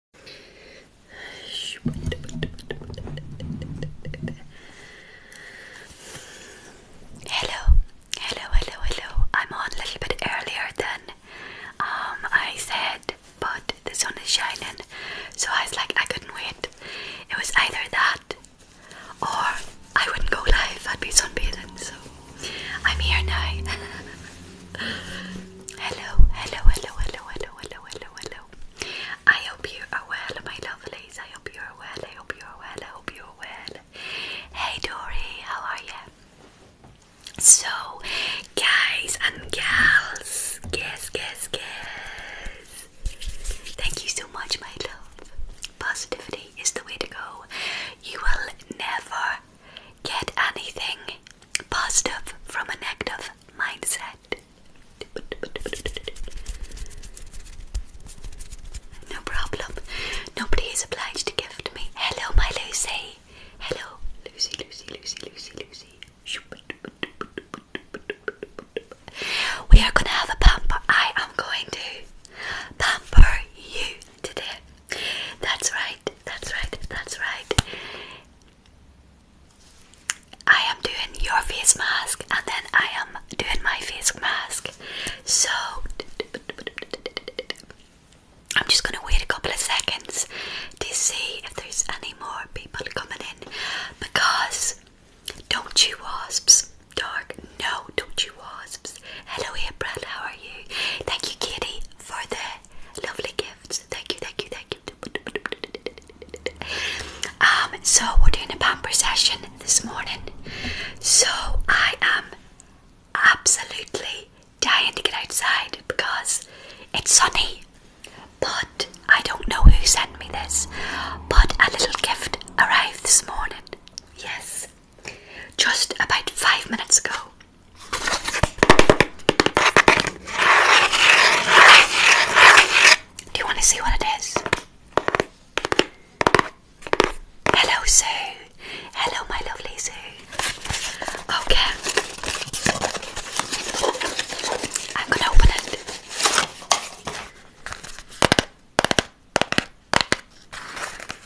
Hello, hello, hello, hello. I'm on a little bit earlier than um, I said, but the sun is shining, so I was like, I couldn't wait. It was either that or I wouldn't go live, I'd be sunbathing, so I'm here now. hello, hello, hello, hello, hello, hello, hello, hello. I hope you are well, my lovelies. I hope you are well. I hope you are well. I hope you are well. Hey, Dory, how are you? So, guys and gals, guess, guess, guess. Thank you so much, my love. Positivity is the way to go. You will never get anything positive from an active mindset. No problem. Nobody is obliged to give to me. Hello, my Lucy. Hello, Lucy, Lucy, Lucy, Lucy, Lucy. We are going to have a pamper. I am going to pamper you today. That's right, that's right, that's right. I am doing your face mask and then I am doing my face mask. So I'm just gonna wait a couple of seconds to see if there's any more people coming in because don't you wasps dark no don't you wasps hello here, Brad. how are you thank you Kitty, for the lovely gifts thank you thank you thank you. Um, so we're doing a pamper session this morning. So I am absolutely dying to get outside because it's sunny. But I don't know who sent me this, but a little gift arrived this morning. Yes, just about five minutes ago. Do you want to see what it is? Hello, Sue. Hello, my lovely Sue. Okay. I'm going to open it.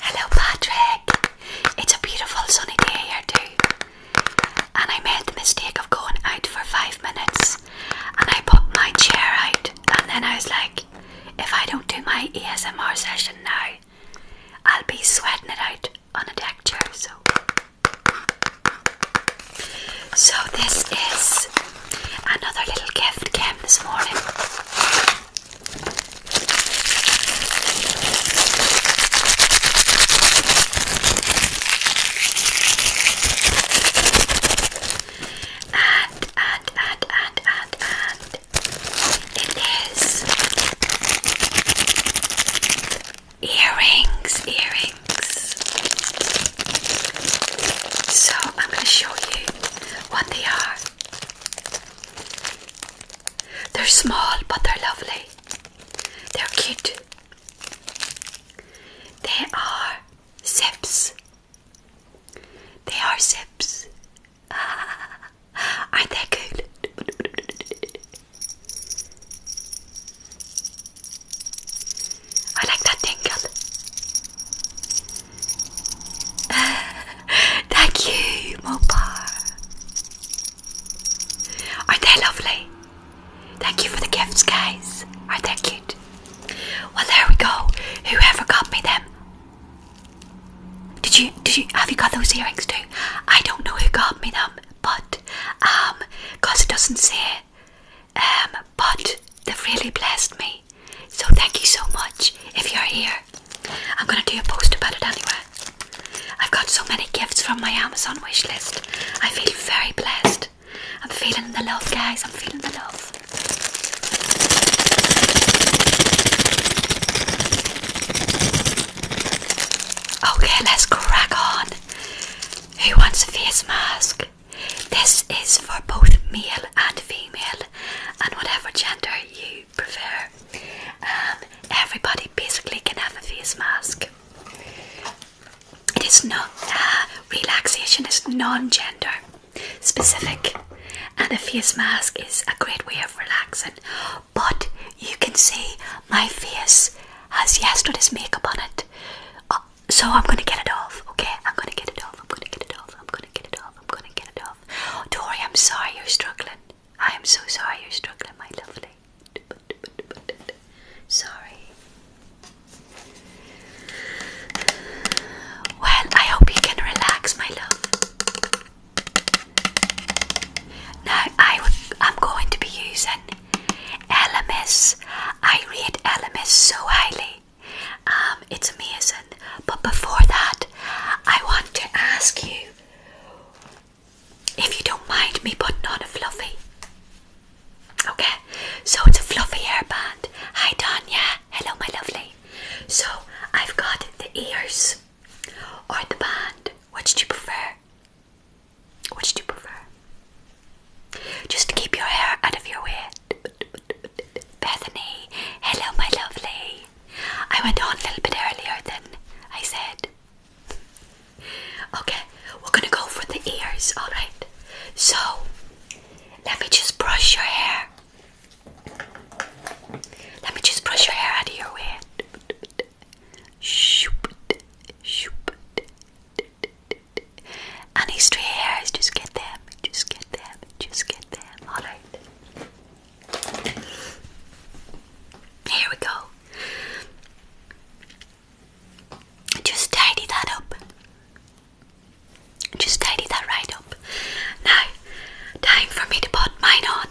Hello, Patrick. It's a beautiful sunny day here, too. And I made the mistake of going out for five minutes and I put my chair out. And then I was like, if I don't do my ASMR session now, I'll be sweating it out on a deck chair. So, so this is another little gift cam this morning. And, and, and, and, and, it is earrings, earrings. So I'm going to show you what they are. They're small, but they're lovely. They're cute. They are sips. They are sips. aren't they good? I like that tingle. Thank you, Mopar. Aren't they lovely? Thank you for the gifts, guys. are they cute? Well, there we go. Whoever got me them. Did you? Did you? Have you got those earrings too? I don't know who got me them, but um, cause it doesn't say. Um, but they've really blessed me. So thank you so much. If you're here, I'm gonna do a post about it anyway. I've got so many gifts from my Amazon wishlist. I feel very blessed. I'm feeling the love, guys. I'm feeling the love. Okay, let's crack on. Who wants a face mask? This is for both male and female, and whatever gender you prefer. Um, everybody basically can have a face mask. It is not relaxation It's non-gender specific, and a face mask is a great way of relaxing. But you can see my face has yesterday's makeup on it, uh, so I'm gonna get it off. Okay, I'm gonna get it off. I'm gonna get it off. I'm gonna get it off. I'm gonna get it off. Tori, I'm sorry you're struggling. I am so sorry you're struggling, my lovely. Sorry. Well, I hope you can relax, my love. Now, I am going to be using Elemis. I read Elemis so highly. Um, it's amazing. But before that, I want to ask you if you don't mind me putting on a fluffy. Okay, so it's a fluffy hairband. Hi, Tanya. Hello, my lovely. So I've got the ears or the band. Which do you prefer? Which do you prefer? Just to keep your hair out of your way. Bethany, hello, my lovely. I went on a little bit earlier than I said okay, we're gonna go for the ears, alright? So, let me just brush your hair. Let me just brush your hair out of your way. Any stray hairs, just get them, just get them, just get them, alright? Here we go. Just tidy that up. Just tidy that right up. Now, time for me to put mine on.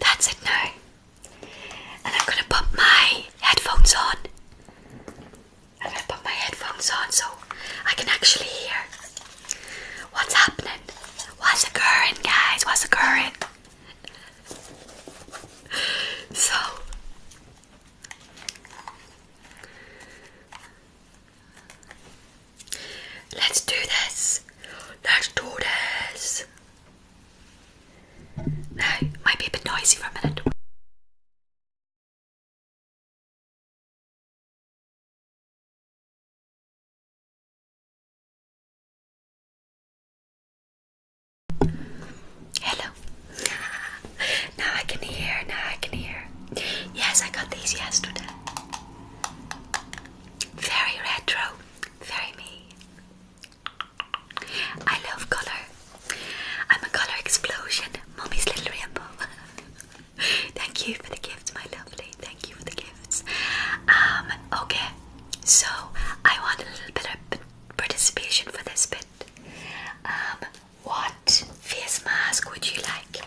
That's it now. And I'm going to put my headphones on. I am gonna put my headphones on so I can actually hear what's happening. What's occurring, guys? What's occurring? So, let's do this. Let's do this. might be a bit noisy for a minute. Hello. now I can hear, now I can hear. Yes, I got these yesterday. Very retro, very me. I love color. I'm a colour explosion, mommy's little rainbow. Thank you for the gift, my lovely. Thank you for the gifts. Um, okay, so I want a little bit of participation for this bit. Um, what face mask would you like?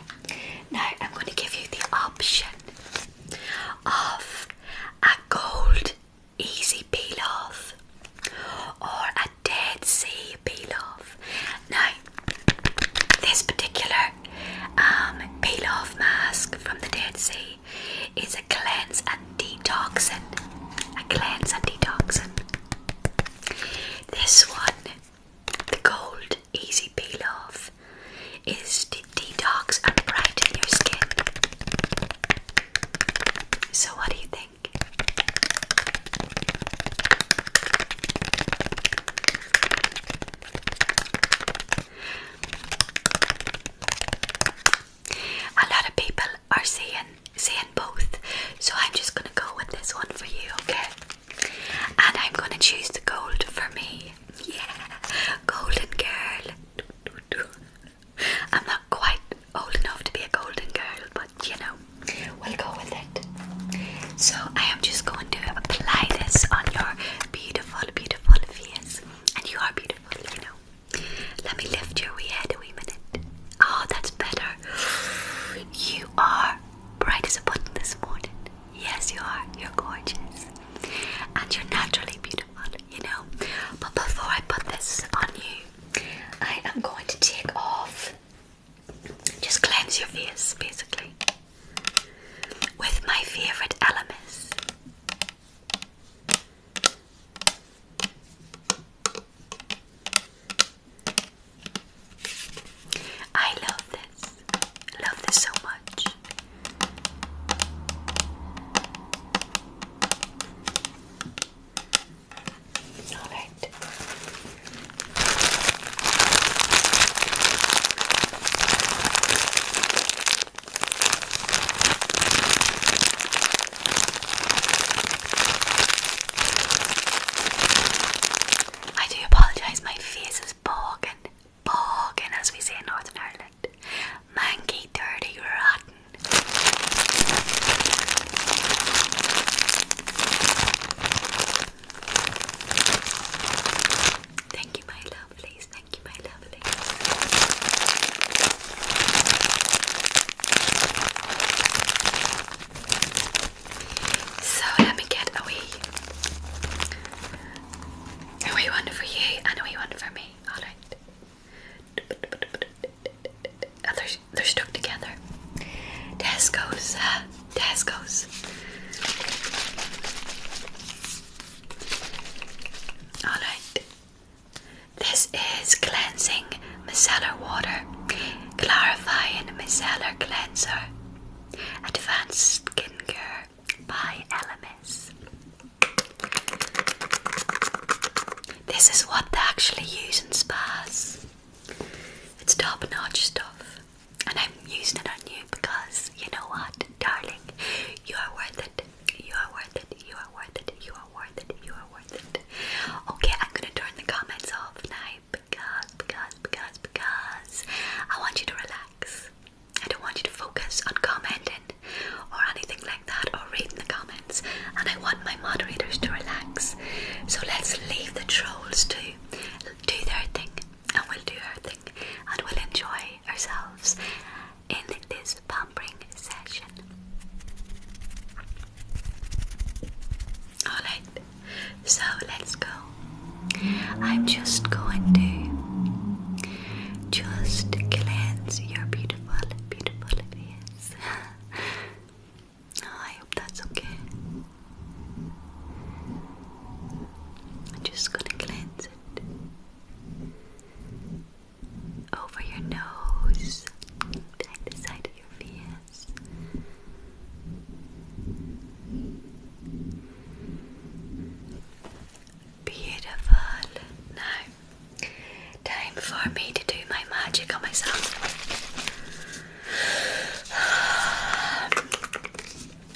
Now I'm going to give you the option of a gold easy peel off or a dead sea peel off. Now, this particular peel um, off mask from the Dead Sea is a cleanse and detoxin. A cleanse and detoxin. This one, the gold easy peel off, is to detox and brighten your skin. So, what do you think? A lot of people are saying saying both, so I'm just gonna go with this one for you, okay? And I'm gonna choose the gold for me. Yeah, golden girl. I'm not quite old enough to be a golden girl, you know, we'll go with it. So I am just going to apply this on your beautiful, beautiful face, and you are beautiful, you know. Let me lift your wee head a wee minute. Oh, that's better. You are bright as a button this morning. Yes, you are. You're gorgeous, and you're naturally beautiful, you know. But before I put this on you, I am going to take off just cleanse your fears, basically with my favourite Elemis. I love this. Love this so much. I do apologise, my face is bogging, and, as we say in Northern Ireland. Manky, dirty, rotten. Thank you, my lovely. Thank you, my lovelies. So let me get a wee, a wee one for you and a wee one for me. All right. Uh, they're, stuck together. Tesco's, uh, Tesco's. Alright. This is cleansing micellar water, clarifying micellar cleanser, advanced skincare by LMS. This is what they actually use in spas. It's top notch stuff, and I'm using it on you because you know what, darling? You are worth it. You are worth it. You are worth it. You are worth it. You are worth it. Okay, I'm gonna turn the comments off now because, because, because, because I want you to relax. I don't want you to focus on commenting or anything like that or reading the comments, and I want my moderators to relax. So let's leave the trolls to do their thing and we'll do our thing and we'll enjoy ourselves in this pampering session. Alright, so let's go. I'm just going to just cleanse your beautiful, beautiful face. I hope that's okay. I'm just gonna cleanse it over your nose, down the side of your face. Beautiful. Now, time for me to do my magic on myself.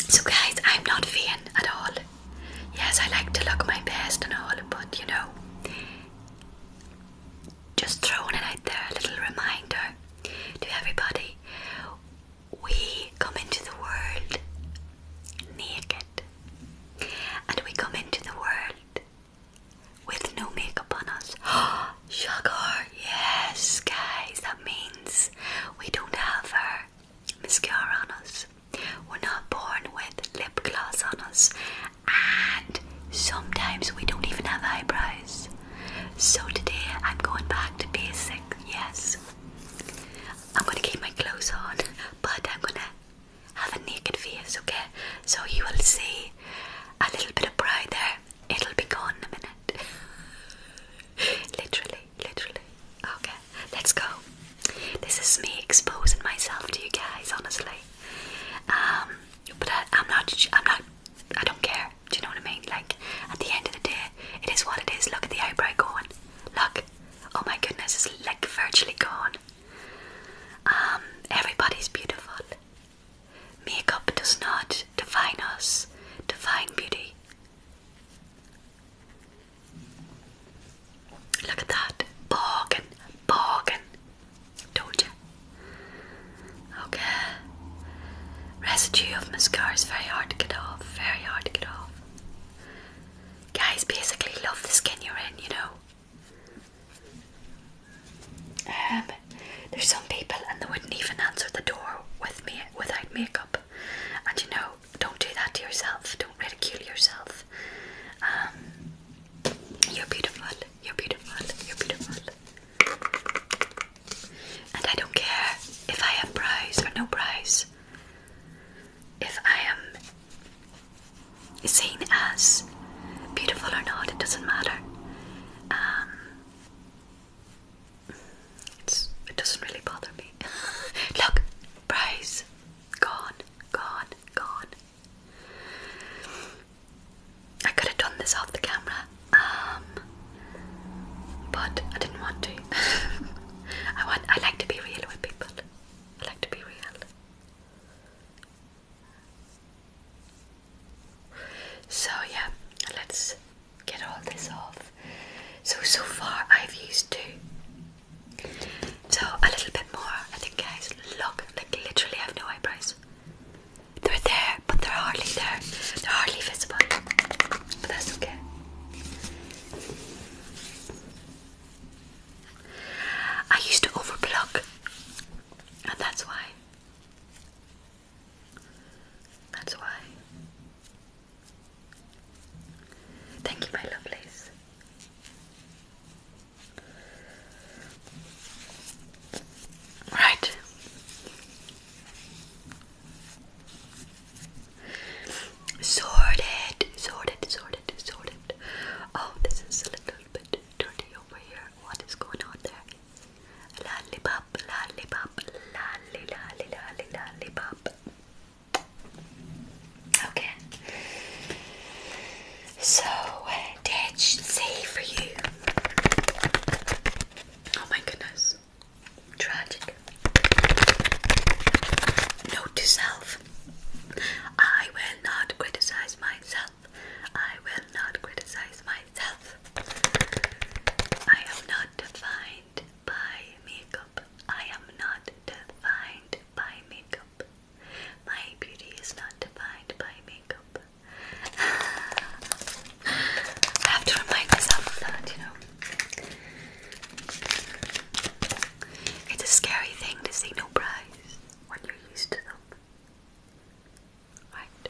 So guys, I'm not vain at all. Yes, I like to look my best and all, but you know, just throwing it out there, a little reminder to everybody. We come into the world naked, and we come into the world with no makeup on us. Oh, Sugar, yes, guys, that means we don't have our mascara on us. We're not born with lip gloss on us, and sometimes we don't even have eyebrows. So today I'm going back to basic, yes. I'm gonna keep my clothes on, but I'm gonna have a naked face, okay? So you will see a little bit of pride there it'll be gone in a minute. literally, literally. Okay, let's go. This is me exposing myself to you guys, honestly. Um, but I, not. I'm not. I don't care. Do you know what I mean? Like, at the end of the day, it is what it is. Look at the eyebrow going. Look. Oh my goodness, it's like virtually gone. Um, everybody's beautiful. Makeup does not define us, define beauty. Look at that. Bargain, bargain. Told you. Okay. Residue of mascara is very hard to get off. Very hard to get off. Guys basically love the skin you're in, you know. Um, there's some people and they wouldn't even answer the door with me without makeup. And you know, don't do that to yourself. Don't ridicule yourself. Um, you're beautiful. You're beautiful. You're beautiful. And I don't care if I have brows or no brows. If I am seen as beautiful or not, it doesn't matter. Um, it doesn't really bother me. Look, price gone, gone, gone. I could have done this off the camera, um, but I didn't want to. I want. I like to be real with people. I like to be real. So yeah, let's get all this off. So so far I've used two. So a little bit more. I think guys look like literally I have no eyebrows. They're there, but they're hardly there. They're hardly visible. But that's okay. I used to overblock, and that's why. That's why. Thank you, my lovelies. Right. Sorted, sorted, sorted, sorted. Oh, this is a little bit dirty over here. What is going on there? Lollipop, lollipop, lolly, lolly, lolly, lollipop. Okay. So, that should say for you. Oh my goodness. Tragic. Note to self. I will not criticize myself. I will not criticize myself. I am not defined by makeup. I am not defined by makeup. My beauty is not defined by makeup. I have to remind myself that, you know. It's a scary thing to see no prize when you're used to them. Right?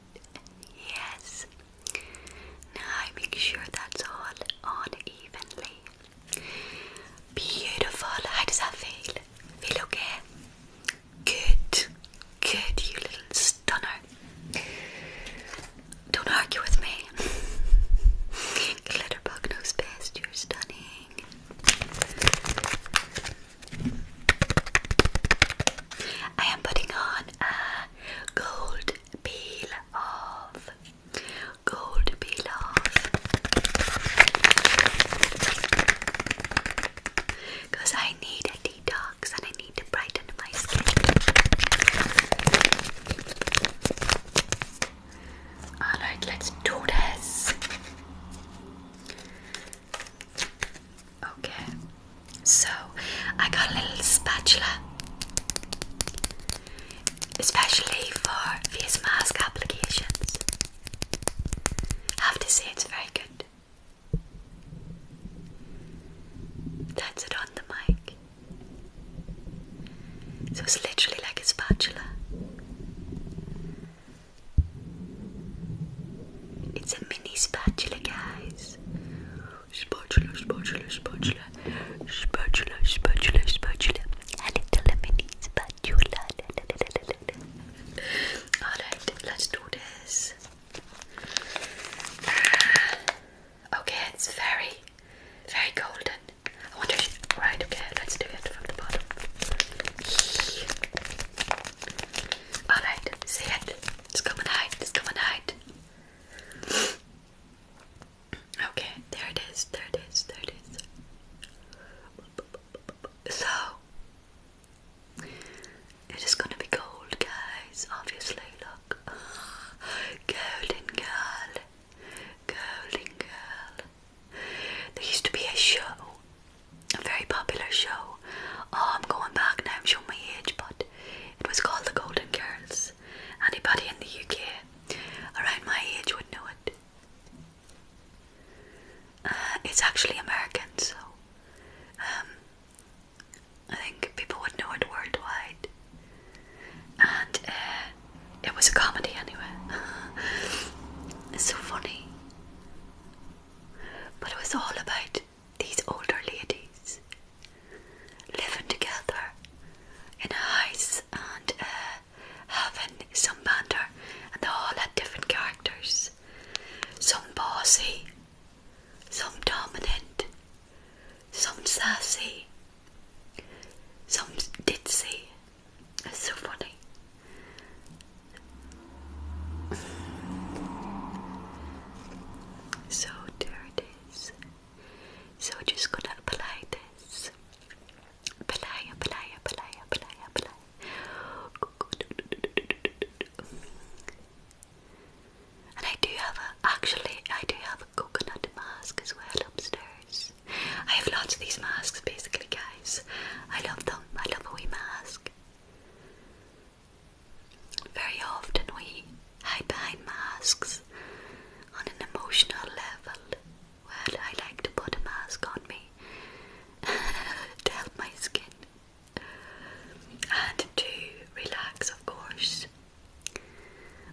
Yes. Now I make sure that's all on evenly. Beautiful. How does that feel? Feel okay? Good. Good, you little stunner. Don't argue with me. Glitterbug knows best. You're stunning. I am putting on a gold peel off. Gold peel off. Because I need a detox and I need to brighten my skin. Alright, let's do this. Okay, so I got a little spatula, especially for face mask applications. I have to say, it's very good. That's it on the mic. So it's literally like a spatula. It's a mini spatula, guys. Spatula, spatula, spatula. Spatula, spatula, spatula. A little mini spatula. Alright, let's do this. Uh, okay, it's very, very golden. I wonder if, right, okay, let's do it from the bottom. Alright, say it. Just come and hide. Just come and hide. Okay, there it is. There it is. There it is. So, it is gonna be gold, guys. Obviously, look. Golden girl. Golden girl. There used to be a show a very popular show. Oh, I'm going back now, I'm showing my age, but it was called The Golden Girls. Anybody in the UK around my age would know it. Uh, it's actually American, so um, I think people would know it worldwide. And uh, it was a comedy anyway. it's so funny. But it was all about these older ladies living together in a house and uh, having some banter, and they all had different characters some bossy, some dominant, some sassy, some ditzy. It's so funny. So there it is. So just gonna apply this. Apply, apply, apply, And I do have a, actually, I do have a coconut mask as well upstairs. I have lots of these masks basically, guys. I love them. I love a wee mask. Very often we hide behind masks on an emotional level. Well, I like to put a mask on me to help my skin and to relax, of course.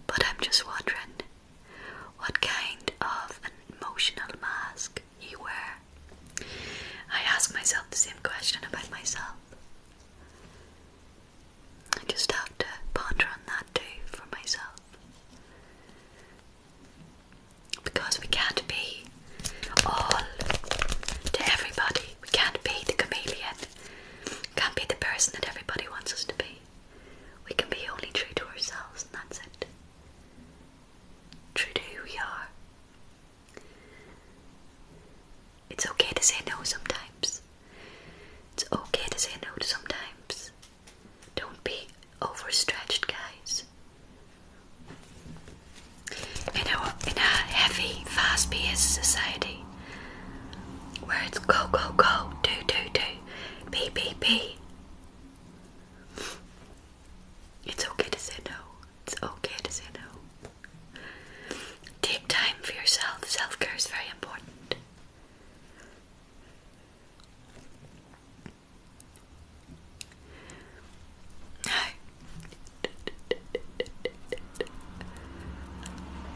But I'm just wondering what kind of an emotional mask you wear I ask myself the same question about myself. I just have to ponder on that too for myself. Because we can't be all to everybody. We can't be the chameleon. We can't be the person that everybody wants us to be. We can be only true to ourselves and that's it. True to who we are. It's okay to say no sometimes. It's okay to say no sometimes. Don't be overstretched, guys. In a, in a heavy, fast paced society where it's go, go, go, do, do, do, be, be, be, it's okay to say no. It's okay to say no. Take time for yourself. Self care is very important.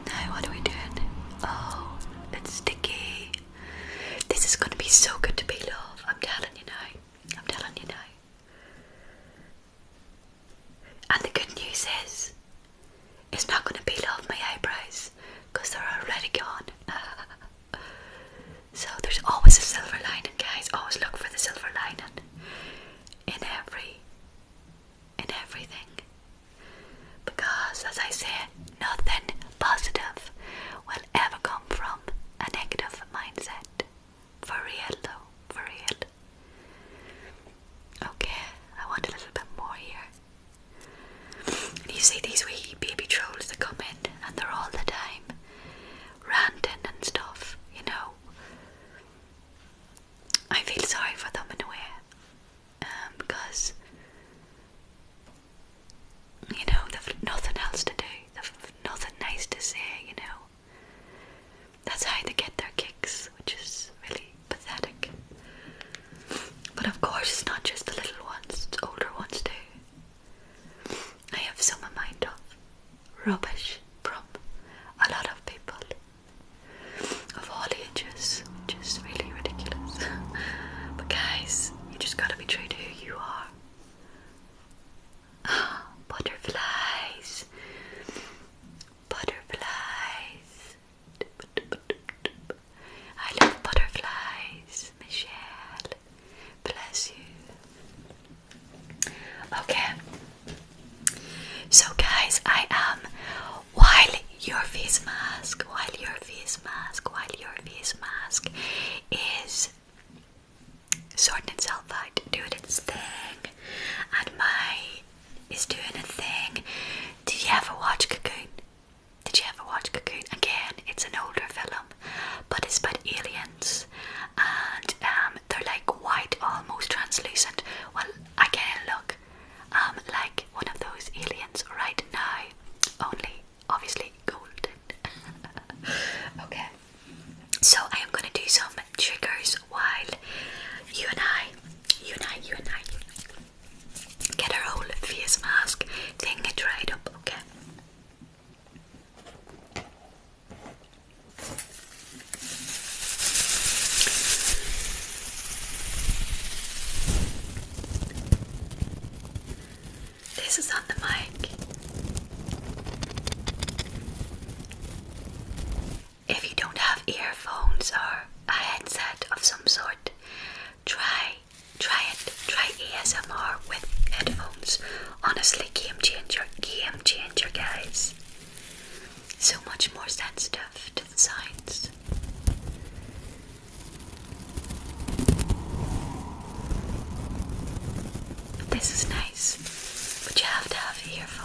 Now, what are we doing? Oh, it's sticky. This is going to be so good to peel off. I'm telling you now. I'm telling you now. And the good news is, it's not going to peel off my eyebrows because they're already gone. so there's always a silver lining, guys. Always look for the silver lining in every, in everything. Because, as I say, nothing positive will ever come from a negative mindset. For real though, for real. Okay, I want a little bit more here. you see these wee baby trolls that come in and they're all the time ranting and stuff, you know. I feel sorry for them in a way. Um, because you know, they've nothing else to do, nothing nice to say, you know. That's how they get their kicks, which is really pathetic. But of course, it's not just the little ones, it's older ones too. I have some amount of rubbish from a lot of people of all ages, which is really ridiculous. but guys, you just gotta be true to who you are butterflies. Butterflies. I love butterflies, Michelle. Bless you. Okay. So, guys, I am while your face mask, while your face mask, while your face mask is sorting itself out, doing its thing. And my is doing a thing. Did you ever watch Cocoon? Did you ever watch Cocoon? Again, it's an older film, but it's about aliens, and um, they're like white, almost translucent. Well, I can look um, like one of those aliens right now, only obviously golden. okay, so I am gonna do some triggers while you and I, you and I, you and I get our whole face mask thing dried up, okay? This is on the mic. If you don't have earphones or a headset of some sort, try try it. Try ASMR with headphones. Honestly, game changer, game changer, guys. So much more sensitive to the sounds. This is nice, but you have to have earphones.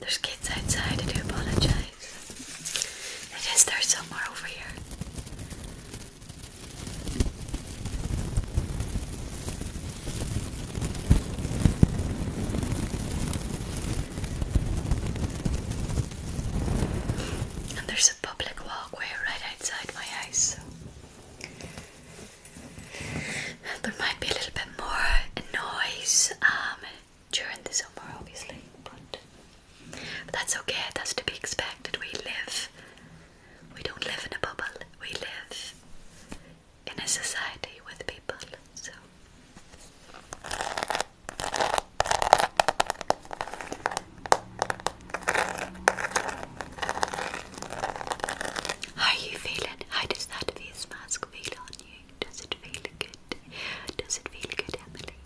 There's kids outside, I do apologize. It is there somewhere over here there's a public walkway right outside my house. There might be a little bit more noise um, during the summer, obviously, but that's okay. That's to be expected. We live. We don't live in a bubble. We live in a society with people. So how are you feeling? How does that face mask feel on you? Does it feel good? Does it feel good, Emily?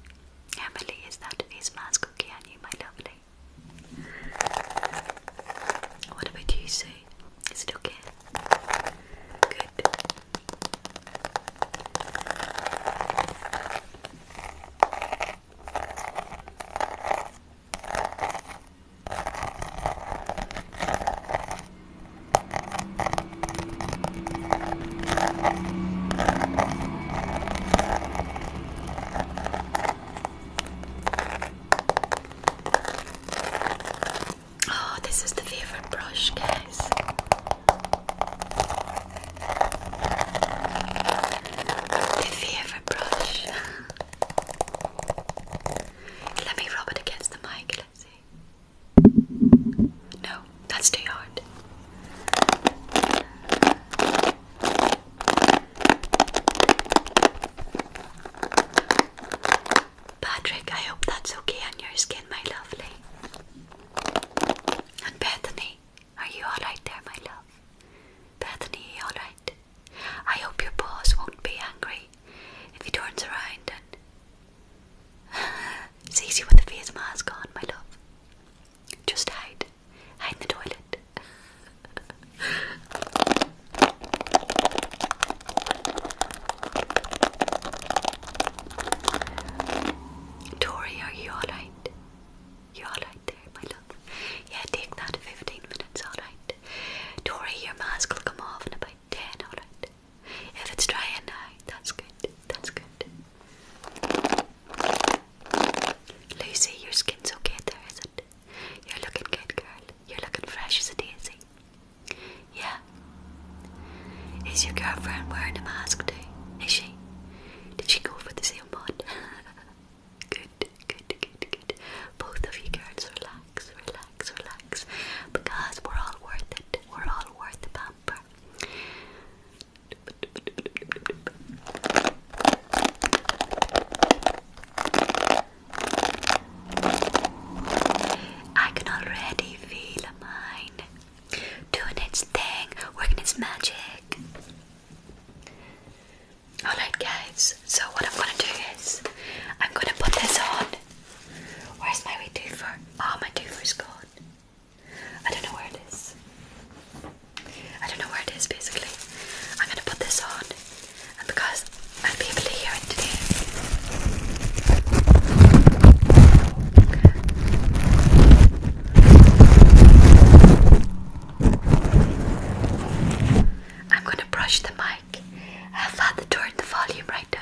Emily, is that face mask okay on you, my lovely? What about you, Sue? Is it okay? Good. Oh, this is the favorite brush, guys. The favorite brush. Let me rub it against the mic, let see. No, that's too hard. Patrick, I hope that's okay on your skin, my lovely. And Bethany, are you alright there, my love? Bethany, you alright? I hope your boss won't be angry if he turns around and sees you with the face mask on, my love. Just hide. Hide in the toilet. Tori, are you alright? You alright there, my love? Yeah, take that 15 minutes, alright? Tori, your mask will come off in about 10, alright? If it's drying now, that's good, that's good. Lucy, your skin's okay there, is not You're looking good, girl. You're looking fresh as a daisy. Yeah. Is your girlfriend wearing a mask too? Is she? Did she go for the same one? good, good, good, good. Both of you girls, relax, relax, relax. Because we're all worth it. We're all worth the pamper. I can already feel mine doing its thing, working its magic. Alright, guys, so what I'm gonna do is I'm gonna put this on. Where's my wee twofer? Oh, my twofer's gone. I don't know where it is. I don't know where it is basically. I'm gonna put this on and because I'll be able to hear it today. I'm going to brush the mic. I've had to turn the volume right down.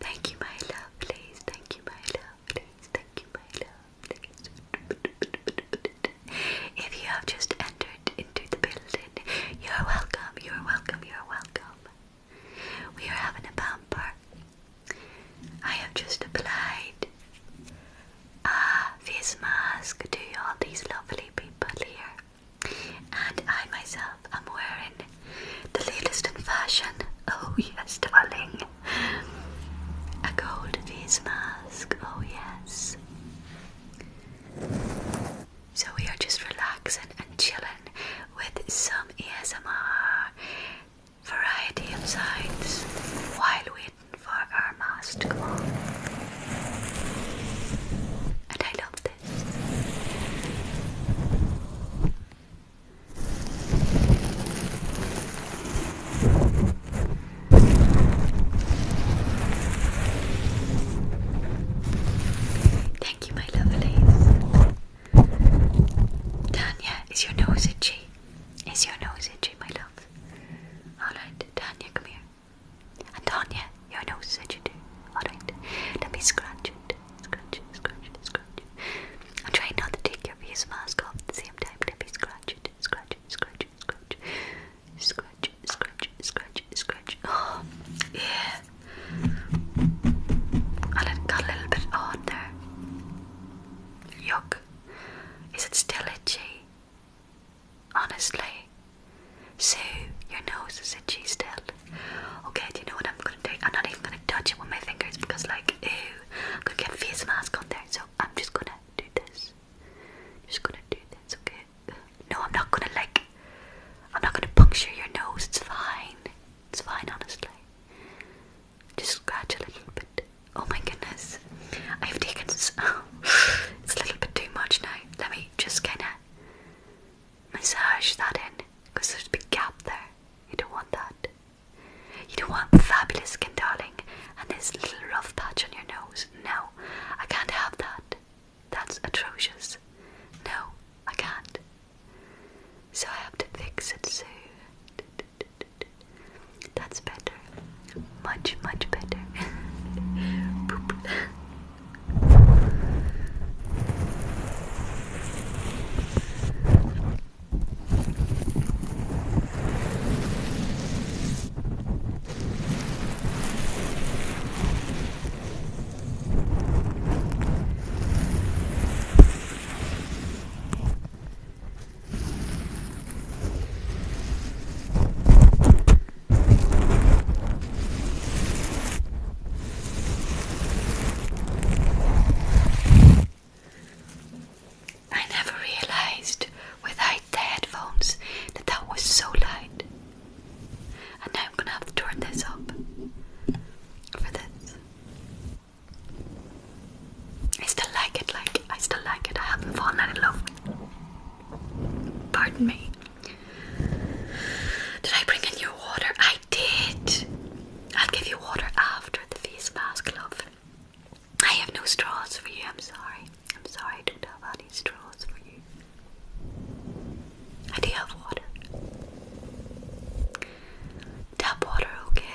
Thank you, my love. Please. Thank you, my love. Please. Thank you, my love. lovelies. If you have just entered into the building, you're welcome. You're welcome. You're welcome. We are having a bumper I have just applied a face mask to all these lovely people here, and I myself am wearing the latest in fashion. Oh, yes, darling, a gold face mask. Oh, yes. So, we are just relaxing and chilling with some ASMR variety of sides while waiting for our mass to come on. And I love this. Thank you, my lovelies. Tanya, is your nose itchy? Is your nose itchy, my love? Alright, Tanya, come here. And Tanya, your nose is itchy Alright, let me scratch it. Scratch it, scratch it, scratch it. I'm trying not to take your face mask off at the same time. Let me scratch it, scratch it, scratch it, scratch it. Scratch it, scratch it, scratch it, Oh, yeah. I got a little bit on there. Yuck. Is it still itchy? Honestly. So your nose is itchy still. Okay, do you know what I'm gonna do? I'm not even gonna touch it with my fingers because like ooh, I'm gonna get face mask on there, so I'm just gonna do this. Just gonna do this, okay? No, I'm not gonna like I'm not gonna puncture your nose, it's fine. It's fine honestly just scratch a little bit. Oh my goodness, I've taken this. Oh, it's a little bit too much now. Let me just kind of massage that in because there's a big gap there. You don't want that. You don't want fabulous skin, darling, and this little rough patch on your nose. No, I can't have that. That's atrocious. No, I can't. So I have to fix it soon. That's better. Much, much better. I never realized without the headphones that that was so loud. And now I'm gonna have to turn this up for this. I still like it, like, I still like it. I haven't fallen in love. Pardon me. Did I bring in your water? I did. I'll give you water after the face mask, love. I have no straws for you. I'm sorry. I'm sorry. I don't have any straws for you. I do have water. Tap water, okay?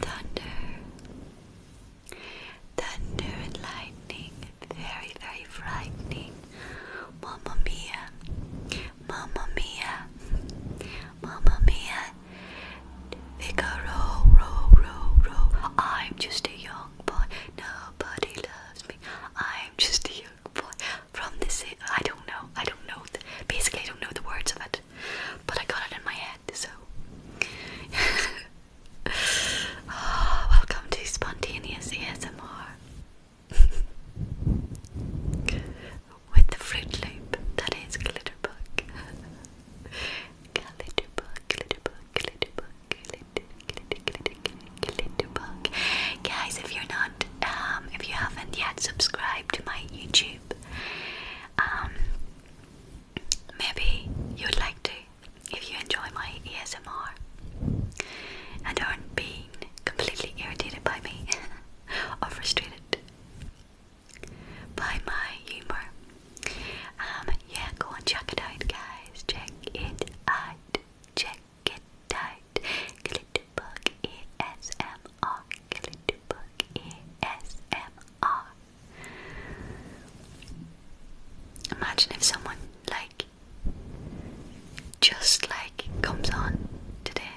Thunder, thunder and lightning, very, very frightening. Mamma mia, Mamma mia, Mamma mia, Figaro, row, row, row. I'm just a young boy, nobody loves me. I'm just a young boy from this. I don't know, I don't know. basically, I don't know the words of it, but I got it in my head, so. Ah, welcome to Spontaneous ASMR. With the fruit loop, that is glitter glitterbug, glitter Glitterbug, Glitter, Glitter, Glitter, Glitter, Glitterbug. Guys, if you're not, um, if you haven't yet subscribed to my YouTube, um, maybe you'd like to if you enjoy my ASMR and aren't be being completely irritated by me or frustrated by my humor. Um, yeah, go and check it out, guys. Check it out. Check it out. Glitterbug ASMR. Glitterbug ASMR. Imagine if someone like just like comes on today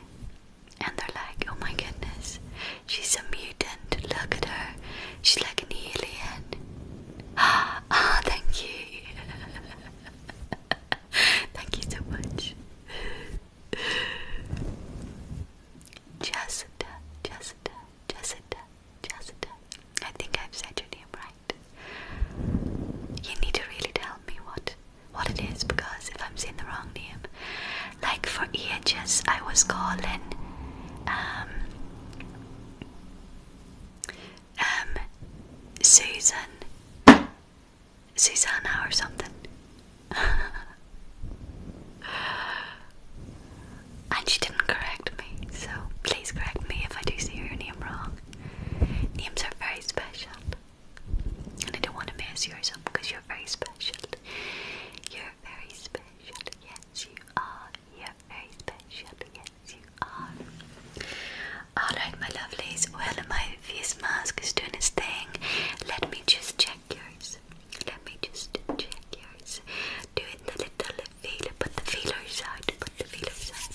and they're like, oh my goodness, she's a mutant. Look at her. She's like an alien. Ah, oh, thank you. thank you so much. Jessica, Jessica, Jessica, Jessica. I think I've said your name right. You need to really tell me what what it is because if I'm saying the wrong name, like for ages I was calling um, um Susan, Susanna or something. and she didn't correct me, so please correct me if I do say your name wrong. Names are very special. And I don't want to mess yours up because you're very special. You're very special. Yes, you are. You're very special. Yes, you are. Alright, my lovelies. Well, my face mask is doing its thing. Let me just check yours. Let me just check yours. Do it the little feeler. Put the feelers out. Put the feelers out.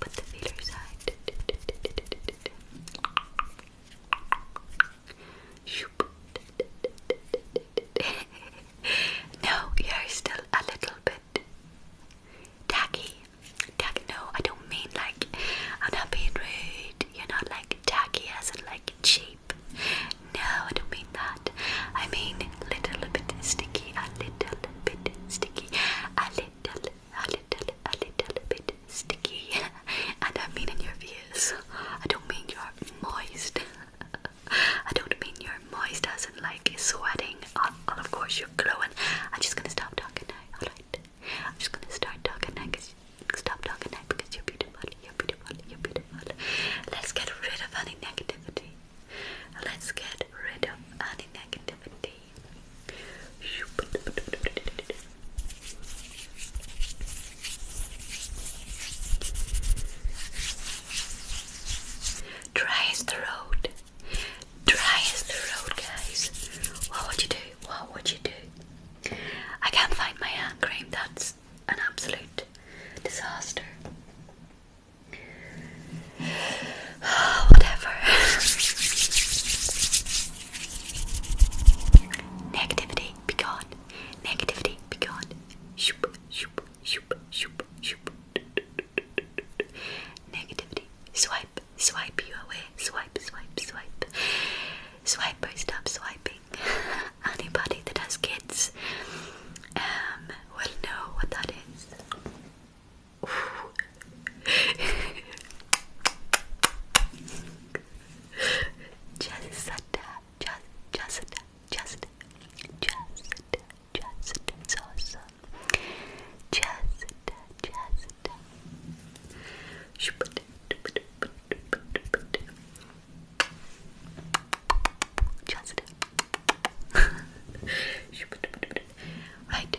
Put the feelers out. no, you're still a little bit tacky. Tacky, no, I don't mean like I'm not being rude. You're not like tacky as in like cheap. No, I don't mean that. I mean little bit sticky, a little bit sticky, a little a little, a little bit sticky. and I mean in your ears. I don't mean you're moist. I don't mean you're moist Doesn't like sweating. Oh, of course you're glowing. I'm just gonna stop talking now, alright? I'm just gonna start talking now because stop talking now because you're beautiful, you're beautiful, you're beautiful. Let's get rid of any negativity. Let's get rid of any negativity. Dry as the road. guys. What would you do? What would you do? I can't find my hand cream. That's an absolute disaster. Whatever. Negativity, be gone. Negativity, be gone. Shoop, shoop, shoop, shoop, shoop. Negativity, swipe, swipe you away. Swipe, swipe, swipe. Swiper, stop swiping. Anybody that has kids um, will know what that is. Jessica, just, Jessica, just, Jessica, just, it's awesome. Jessica, Jessica. Just. right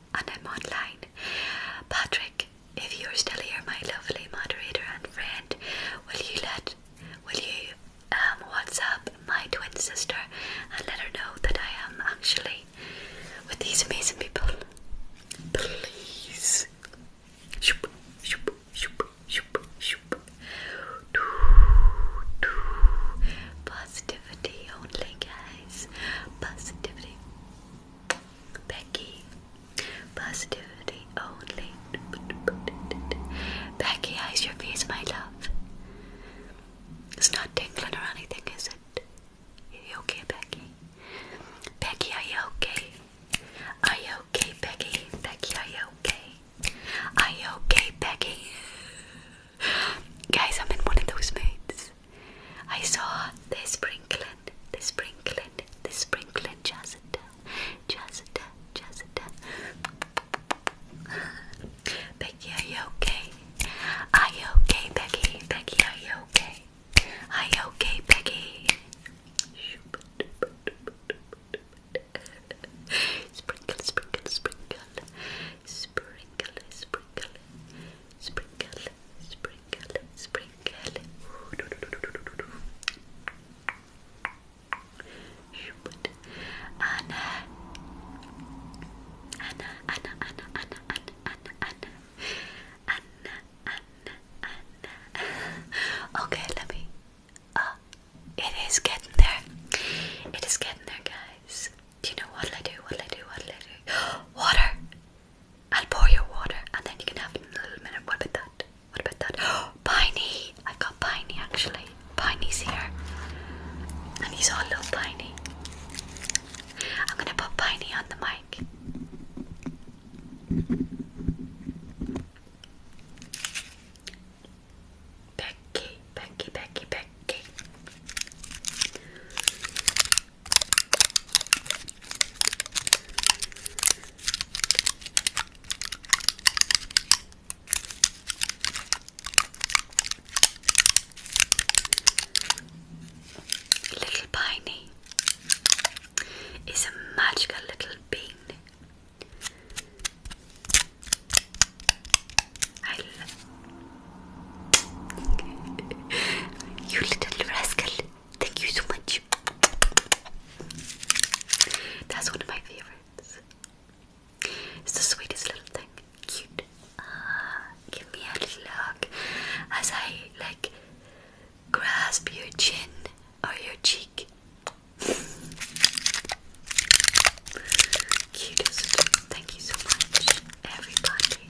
and I'm online. Patrick, if you're still here, my lovely moderator and friend, will you let will you um WhatsApp my twin sister and let her know that I am actually with these amazing people? Please. Shoop, shoop, shoop, shoop, shoop. Doo, doo. Positive positivity only, guys. Positivity. Becky. Positivity only. Becky, Eyes your face, my love? It's not tingling or anything, is it? Are you okay, Becky? Becky, are you okay? Are you okay, Becky? Becky, are you okay? Are you okay, Becky? Guys, I'm in one of those moods. I saw the sprinkling, the sprinkling, the sprinkling, Jazita, Jazita, Jazita. Becky, are you okay? Are you okay, Becky? Becky, are you okay? Are you okay, Becky? Sprinkle, sprinkle, sprinkle sprinkle, sprinkle, sprinkle, sprinkle, sprinkle. Ooh, do, do, do, do, do, do. Anna. Anna, Anna, Anna, Anna, Anna, Anna, Anna, Anna, Anna, Anna. Okay, let me. Uh, it is getting there. It is getting there, guys. Do you know what'll I do? What'll I do? What'll I do? Water! I'll pour your water and then you can have a little minute. What about that? What about that? Piney! I've got Piney actually. Piney's here. And he's all little Piney. I'm gonna put Piney on the mic. Becky, Becky, Becky, Becky. Okay. Little Piney is a magical little bean. I love you little rascal. Thank you so much. That's one of my favorites. It's the sweetest little thing. Cute. Ah, give me a little hug as I like grasp your chin or your cheek. Cutest. Thank you so much, everybody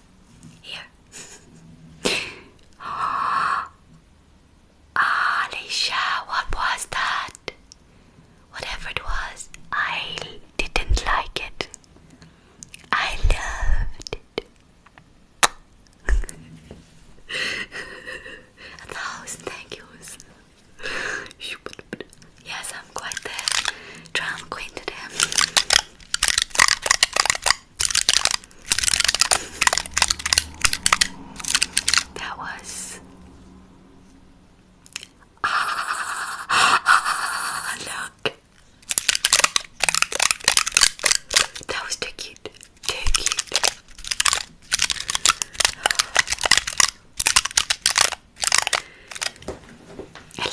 Here. Alicia, what was that? Whatever it was, I didn't like it. I loved A thousand thank yous. Yes, I'm quite there, drama queen today. That was. ah, look. That was too cute. Too cute.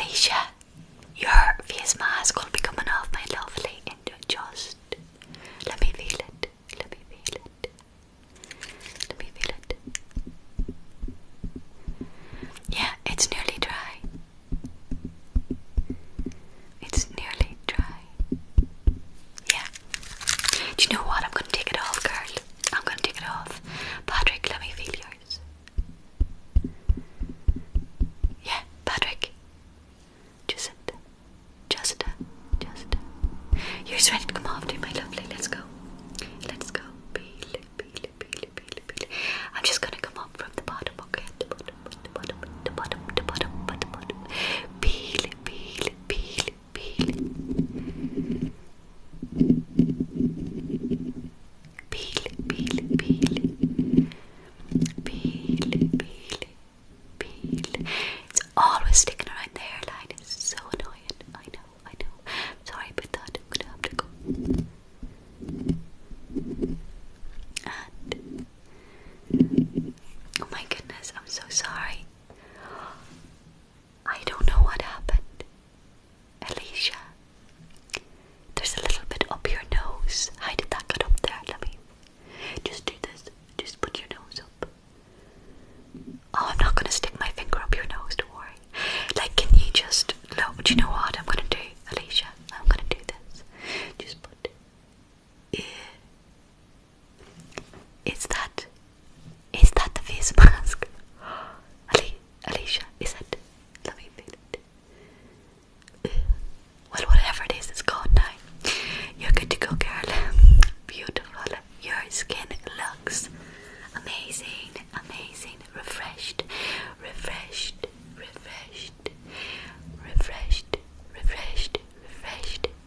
Alicia, your face mask will be coming off, my lovely, and just let me feel it. Let me feel it. Let me feel it. Yeah, it's nearly dry. It's nearly dry. Yeah. Do you know what? I'm gonna take it off, girl. I'm gonna take it off. Patrick, let me feel yours. Yeah, Patrick. Jacinta. Jacinta. Jacinta. You're ready to come after me, my lovely. Let's go. Let's go. Peel, peel, peel, peel, peel. I'm just gonna come up from the bottom, okay? The bottom, the bottom, the bottom, the bottom, the bottom. Peel, peel, peel, peel peel, peel, peel, peel, peel, peel. It's always sticking around the hairline. It's so annoying. I know, I know. Sorry about that. I'm gonna have to go. And oh my goodness, I'm so sorry. I don't know what happened. Alicia, there's a little bit up your nose. How did that get up there? Let me just do this. Just put your nose up. Oh, I'm not going to stick my finger up your nose, don't worry. Like, can you just look? Do you know what I'm going to do, Alicia? I'm going to do this. Just put. it. Is that. Is that the face mask? Alicia, is it? Let me feel it well, whatever it is, it's gone now. You're good to go, girl. Beautiful. Your skin looks amazing, amazing, refreshed, refreshed, refreshed, refreshed, refreshed,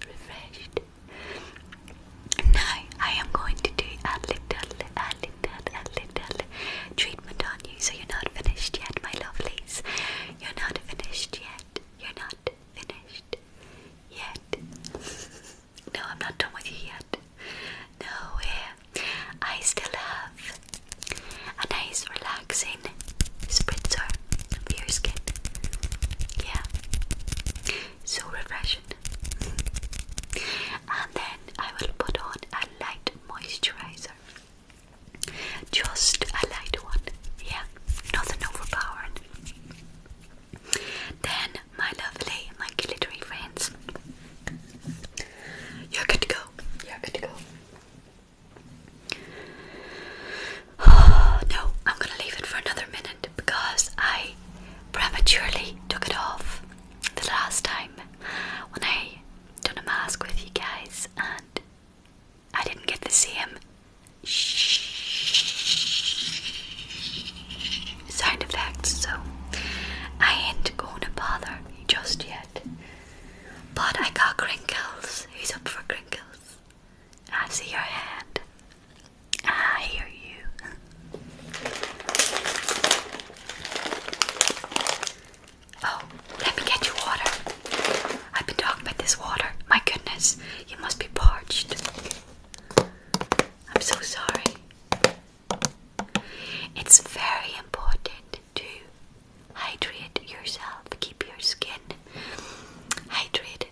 refreshed, Now I am going to do a little, treatment on you, so you're not finished yet, my lovelies. You're not finished yet. You're not finished yet. no, I'm not done with you yet. No, I still have a nice, relaxing spritzer for your skin. Yeah, so refreshing. And then I will put on a light moisturizer. Just a light one, yeah, nothing overpowering. Then, my lovely, my glittery friends, you're good to go. You're good to go. no, I'm gonna leave it for another minute because I prematurely took it off the last time when I done a mask with you guys, and I didn't get to see him. Sound effects, so I ain't going to bother just yet. But I got crinkles. Who's up for crinkles? I see your hand. I hear you. Oh, let me get you water. I've been talking about this water. My goodness, you must be parched. I'm so sorry. It's very important to hydrate yourself, keep your skin hydrated.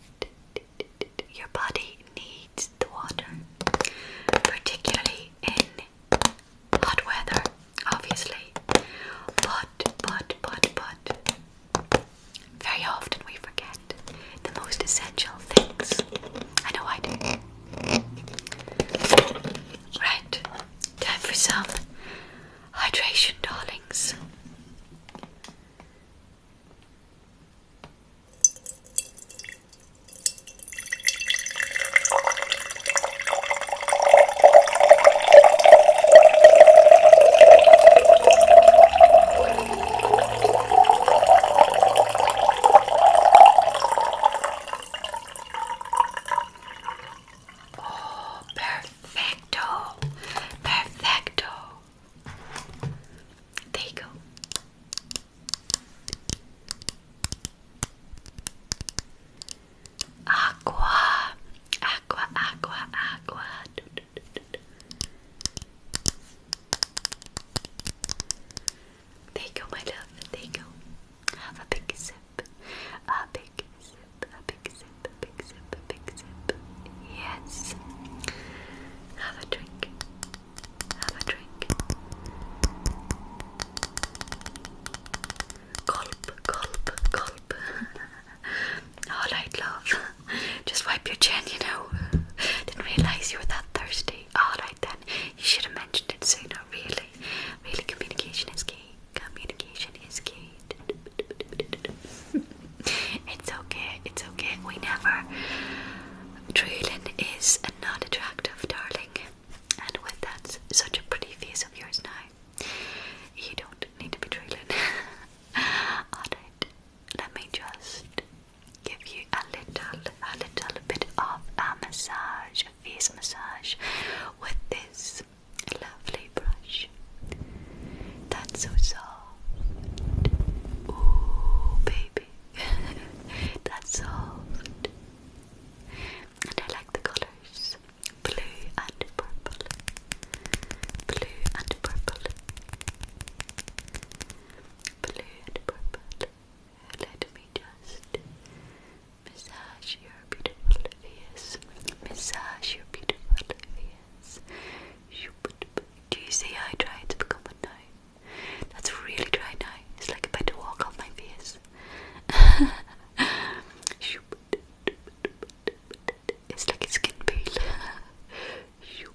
Your body needs the water, particularly in hot weather, obviously. But, but, but, but, very often we forget the most essential things. I know I do. Right, time for some hydration, darlings. Oh, perfecto, perfecto. There you go. Aqua, aqua, aqua, aqua. There you go, my love. There you go. Have a big sip. A big sip. A big sip. big sip. big sip. Yes. Have a drink. Have a drink. Gulp, gulp, gulp. Alright, love. Just wipe your chin, you know. Didn't realise you were that thirsty. Alright then. You should have mentioned it sooner, really. Really, communication is key. Communication is key. it's okay, it's okay. We never. Drooling is not attractive, darling. And with that, such a pretty face of yours now, you don't need to be trailing. it. let me just give you a little, a little bit of a massage, a face massage, with this lovely brush. That's so soft. Ooh, baby. That's soft. And I like the colours colors blue and purple, blue and purple, blue and purple. Let me just massage your beautiful face, massage your beautiful face. Do you see how I try to become a nine? That's really dry now. It's like a bit of walk off my face it's like a skin peel.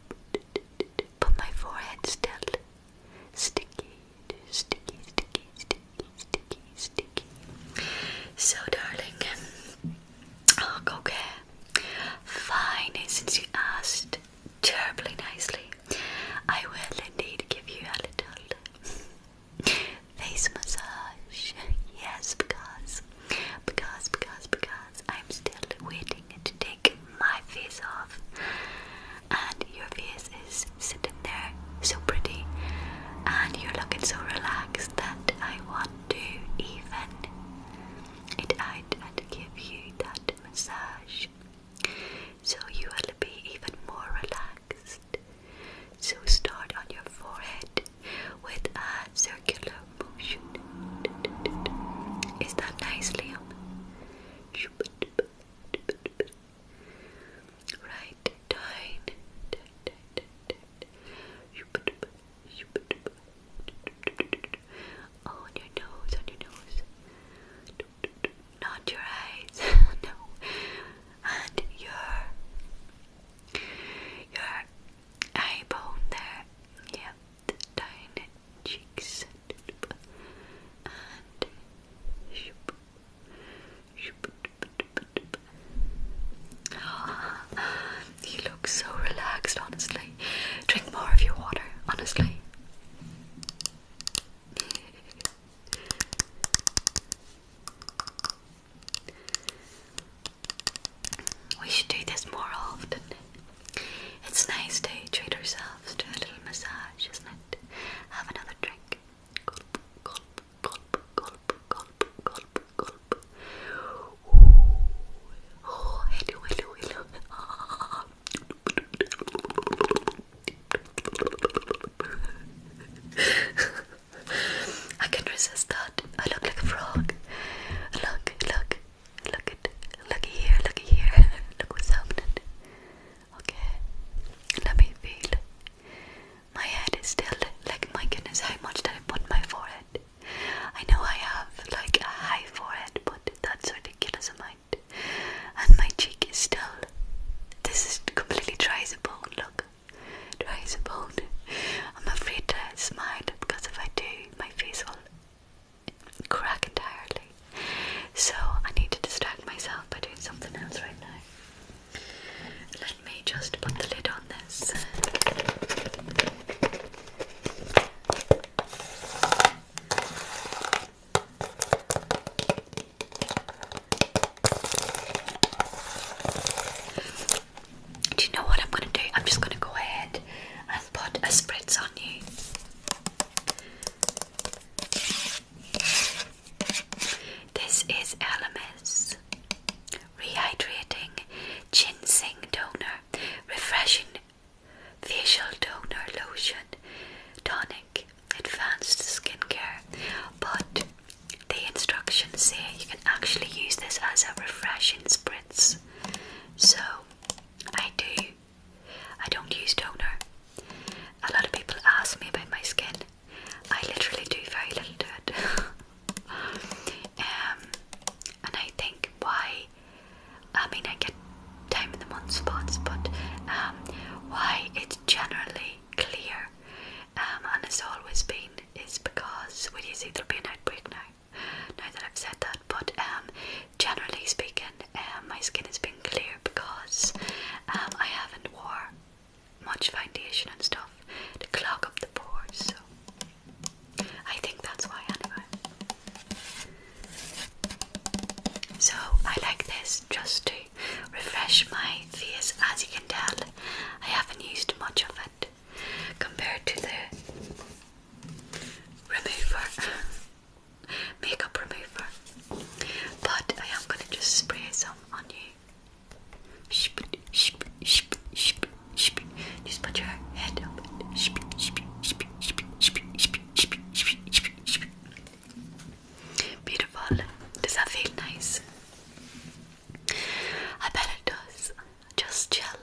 Put my forehead still. Sticky, sticky, sticky, sticky, sticky, sticky. So, darling, look, oh, okay. Fine, since you asked terribly nicely, I will indeed give you a little Face massage. Yes, because, because, because, because I'm still waiting to take my face off. And your face is sitting there so pretty. And you're looking so relaxed that I want to even it out and give you that massage. So you will be even more relaxed. So start on your forehead with a circular motion. Is that nice, Liam? Right down. On your nose, on your nose. Not your eyes. no and your your eyebone there. Yeah, the tiny cheeks and you look so relaxed, honestly. Drink more of your water, honestly. We should do this more often. It's nice to treat ourselves to a little massage, isn't it? Have another drink. I can resist that. I look like a frog. Look, look, look at, looky here, looky here. look what's happening. Okay, let me feel. My head is still like my goodness. How much did I put on my forehead? I know I have like a high forehead, but that's a ridiculous amount. And my cheek is still. This is completely dry as a bone. Look traceable. I'm afraid to smile because if I do, my face will crack entirely. So I need to distract myself by doing something else right now. Let me just put the lid on this. Do you know what I'm going to do? I'm just going to go ahead and put a spritz on you. This is Elemis Rehydrating Ginseng Toner Refreshing Facial Toner Lotion Tonic advanced skincare, but the instructions say you can actually use this as a refreshing spritz. So I do. I don't use toner. A lot of people ask me about my skin. I literally do very little to it. Um, and I think why, I mean, I get time in the month spots, but um, why it's generally clear, um, and it's always been, is because well, you see, there'll be an outbreak now. Now that I've said that, but um, generally speaking, um, my skin has been clear because I haven't worn much foundation and stuff to clog up the pores. So I think that's why, anyway. So I like this just to refresh my face. As you can tell, I haven't used much of it compared to the remover, makeup remover. But I am going to just spray some on you. Just put your head up. I bet it does. Just chill.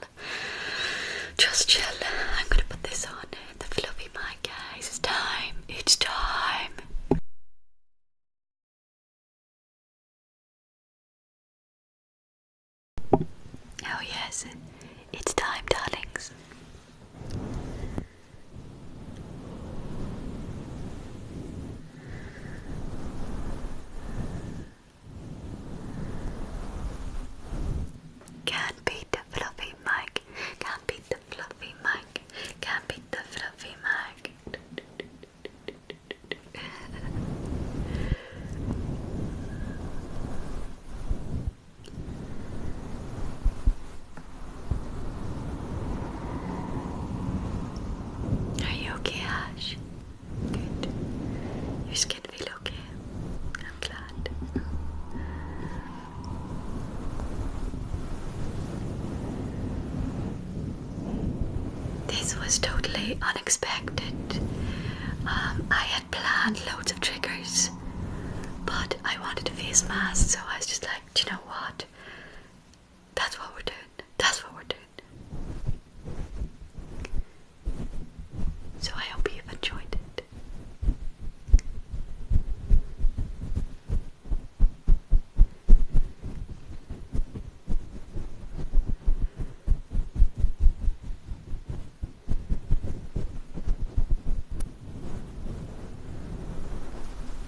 Just chill. I'm gonna put this on the fluffy mic, guys. It's time. It's time. Oh, yes, it's time, darlings. Can't beat the fluffy mic. Can't beat the fluffy mic. Can't beat the fluffy mic. Are you okay, Ash? Good. You Your skin feel okay? I'm glad. This was totally unexpected. Um, I had planned loads of triggers, but I wanted a face mask, so I was just like, do you know what? That's what we're doing. That's what we're doing. So I hope you've enjoyed it.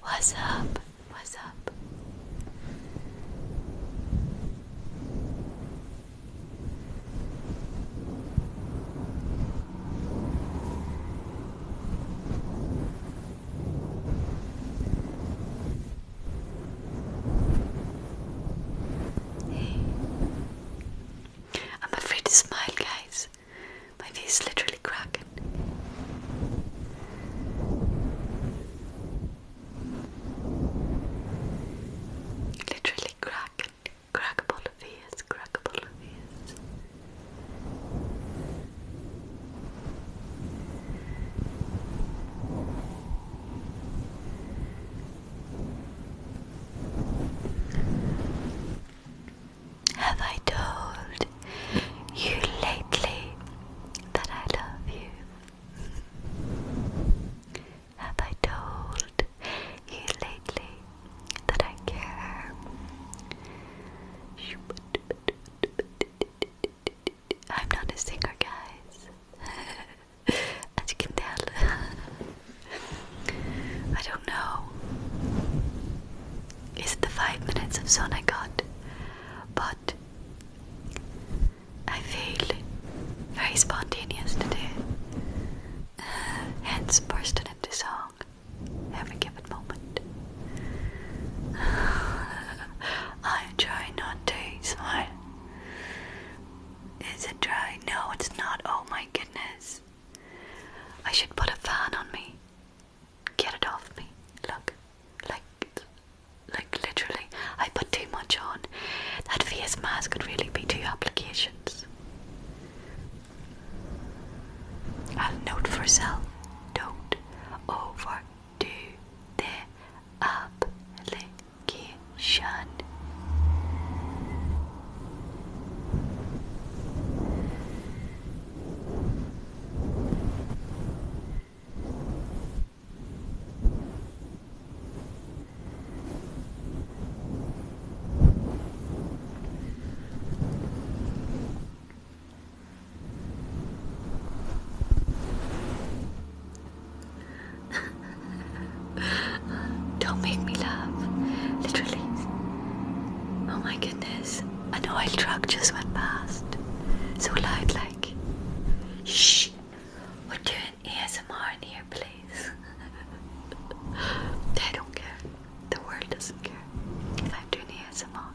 What's up? What's up? Hey. I'm afraid to smile, guys. My face literally really cracking. Literally cracking. Crackable of crackable of Have I told you lately that I love you? Have I told you lately that I care? I'm not a singer, guys. As you can tell, I don't know. Is it the five minutes of sun I got? But I feel very spontaneous today, uh, hence bursting into song every given moment. I'm trying not to smile. Is it dry? No, it's not. Oh my goodness. I should put a fan on me. Get it off me. Look, like, like literally, I put too much on. That face mask could really be two applications. A note for self. Don't overdo the application. Don't make me laugh. Literally. Oh my goodness. An oil truck just went past. So loud, like. Shh! We're doing ASMR in here, please. they don't care. The world doesn't care if I'm doing ASMR.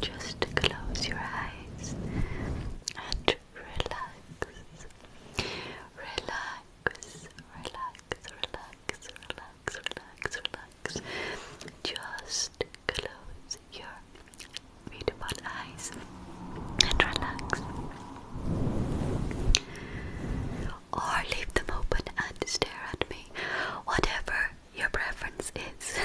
Just close your eyes and relax. Relax, relax, relax, relax, relax, relax. Just close your beautiful eyes and relax. Or leave them open and stare at me. Whatever your preference is.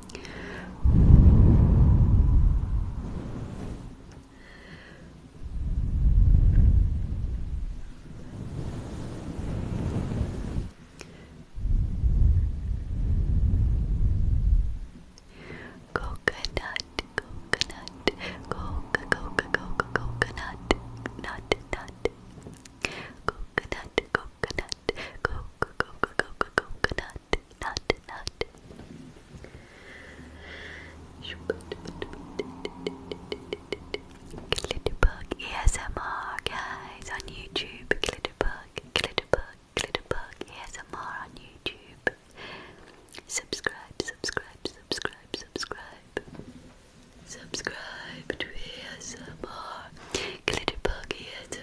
Coconut, coconut, coca, coca, coca, coconut, nut, nut. Coconut, coconut, coconut, coco, coco, coco, coconut, nut, nut. Glitterbug ASMR, guys, on YouTube. Glitterbug, Glitterbug, Glitterbug E S M R on YouTube. Subscribe, subscribe, subscribe, subscribe. Subscribe to ASMR. Glitterbug ASMR.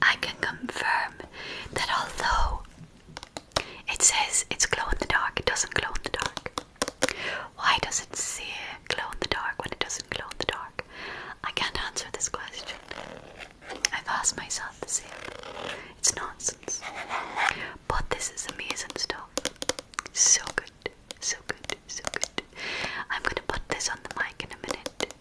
I can confirm that although it says it's glow in the dark, it doesn't glow in the dark. Why does it say glow in the dark when it doesn't glow in the dark? I can't answer this question. I've asked myself the same. It's not but this is amazing stuff. So good, so good, so good. I'm going to put this on the mic in a minute.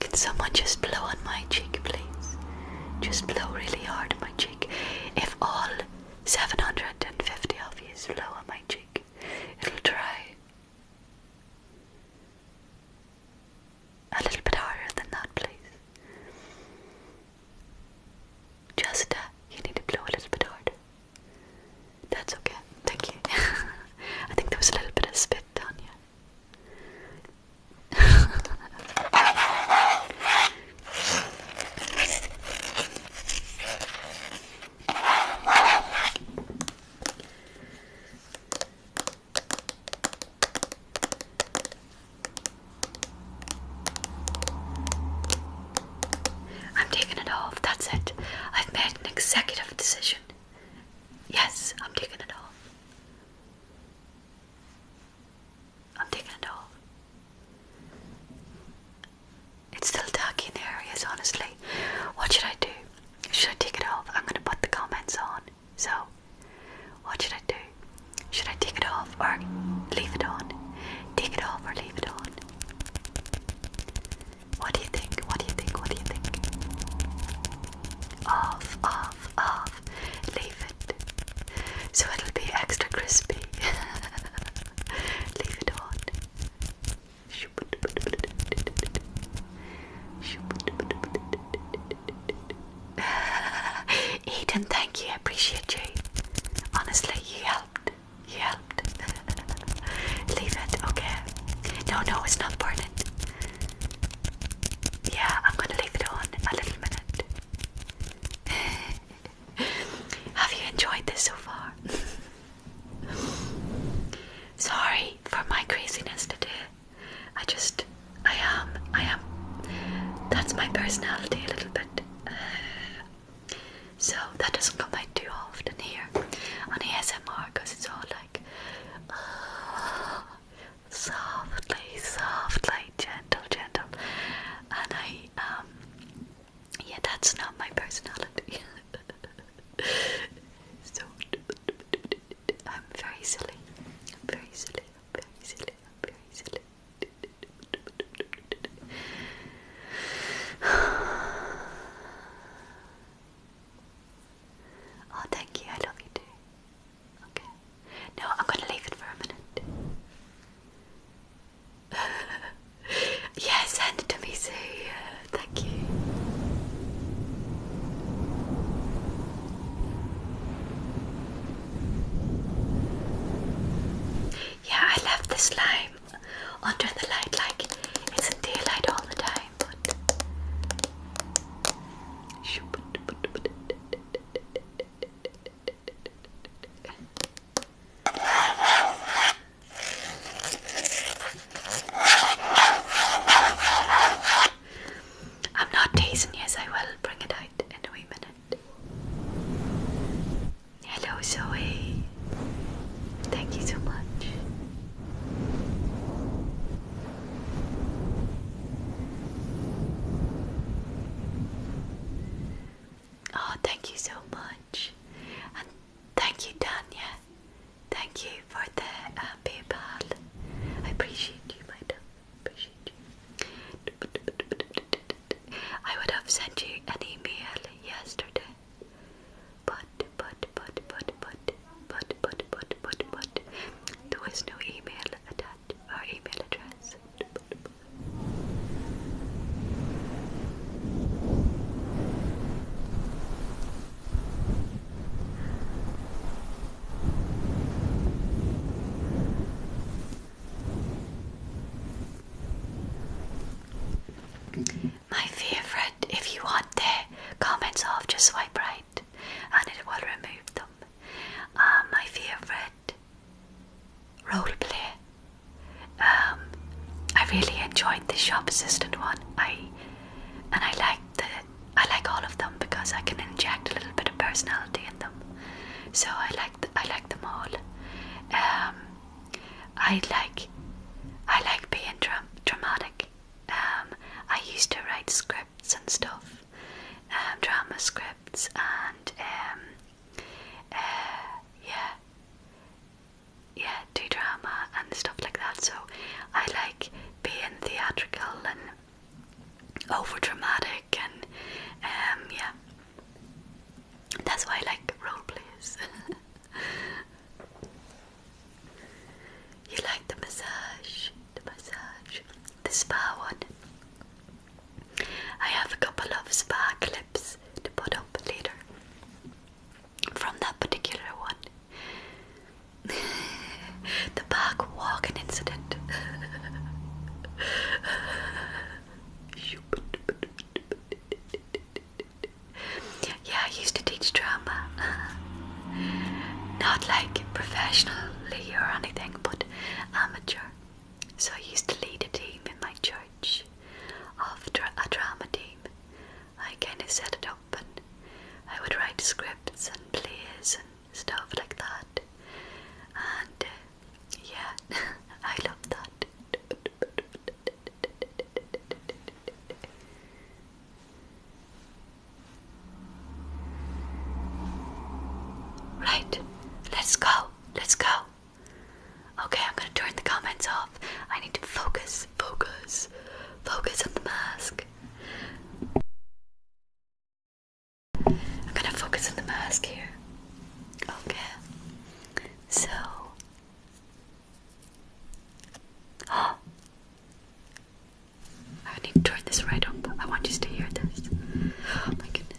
Can someone just blow on my cheek, please? Just blow really hard on my cheek. If all 750 of you blow on my cheek, it'll dry a little bit harder than that, please. Just, uh, you need to blow a little bit harder. That's okay, thank you. I think there was a little bit of spit down here. I'm taking it off. That's it. I've made an executive decision. Yes, I'm taking it off. I'm taking it off. It's still dark in the areas, honestly. What should I do? Should I take it off? I'm going to put the comments on. So, what should I do? Should I take it off or leave it on? Take it off or leave it on? What do you think? What do you think? What do you think? Off, off, off. Leave it. So it'll be extra crispy. leave it on. Eden, thank you. I appreciate you. Honestly, he helped. He helped. Leave it, okay? No, no, it's not burning. Yeah, I'm gonna leave it on a little minute. Have you enjoyed this so far? sorry for my craziness today. I just, I am, I am. That's my personality a little bit. Uh, so that doesn't come out too often here on the ASMR because it's all like softly, softly, gentle, gentle. And I, um, yeah, that's not my personality. so, I'm very silly. I'm very silly. I'm very silly. I'm very silly. Oh, thank you. I love you too. Okay. No, I'm gonna leave it for a minute. yeah, send it to me, too thank you. Yeah, I left the slime under the light like it's in daylight all the time, I'm not teasing, yes, I will bring it out in a wee minute. Hello, Zoe. Thank you so much. Oh, thank you so much. And thank you, Tanya. Thank you for the uh, PayPal. I appreciate you, my dog. Appreciate you. I would have sent you an email yesterday, but but but but but but but but but there was no email attached or email address. My favorite, if you want the comments off, just swipe right and it will remove them. Um, my favorite roleplay. Um, I really enjoyed the shop assistant one. I and I liked the I like all of them because I can inject a little bit of personality in them. So I like I like them all. Um, I like I like being dra dramatic. Um, I used to write scripts and stuff, um, drama scripts and um, uh, yeah, yeah, do drama and stuff like that. So I like being theatrical and overdramatic and um, yeah. That's why I like role plays. you like the massage, the massage, the spa one. I have a couple of spa clips to put up later from that particular one. the park walking incident. yeah, I used to teach drama. Not like professionally or anything, but amateur. So I used to lead a team in my church of a drama team I kinda set it up and I would write scripts and plays and stuff like that. And uh, yeah, I love that. Right, let's go, let's go. Okay, I'm gonna turn the comments off. I need to focus, focus, focus on the mask. I'm gonna focus on the mask here. Okay. So. Oh. I need to turn this right up. I want you to hear this. Oh my goodness.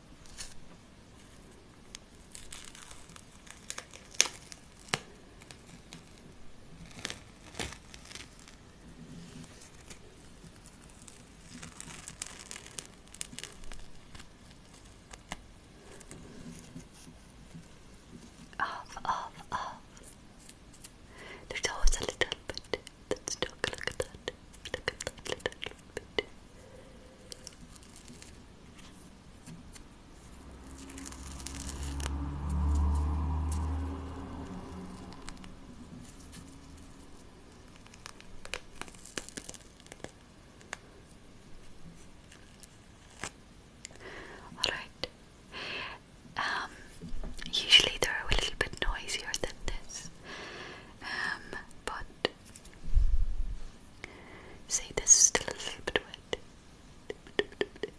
Off, off, off. There's always a little bit that's stuck. Look at that. Look at that little bit. All right. Um, usually they're a little bit noisier than this, um, but See, this is still a little bit wet.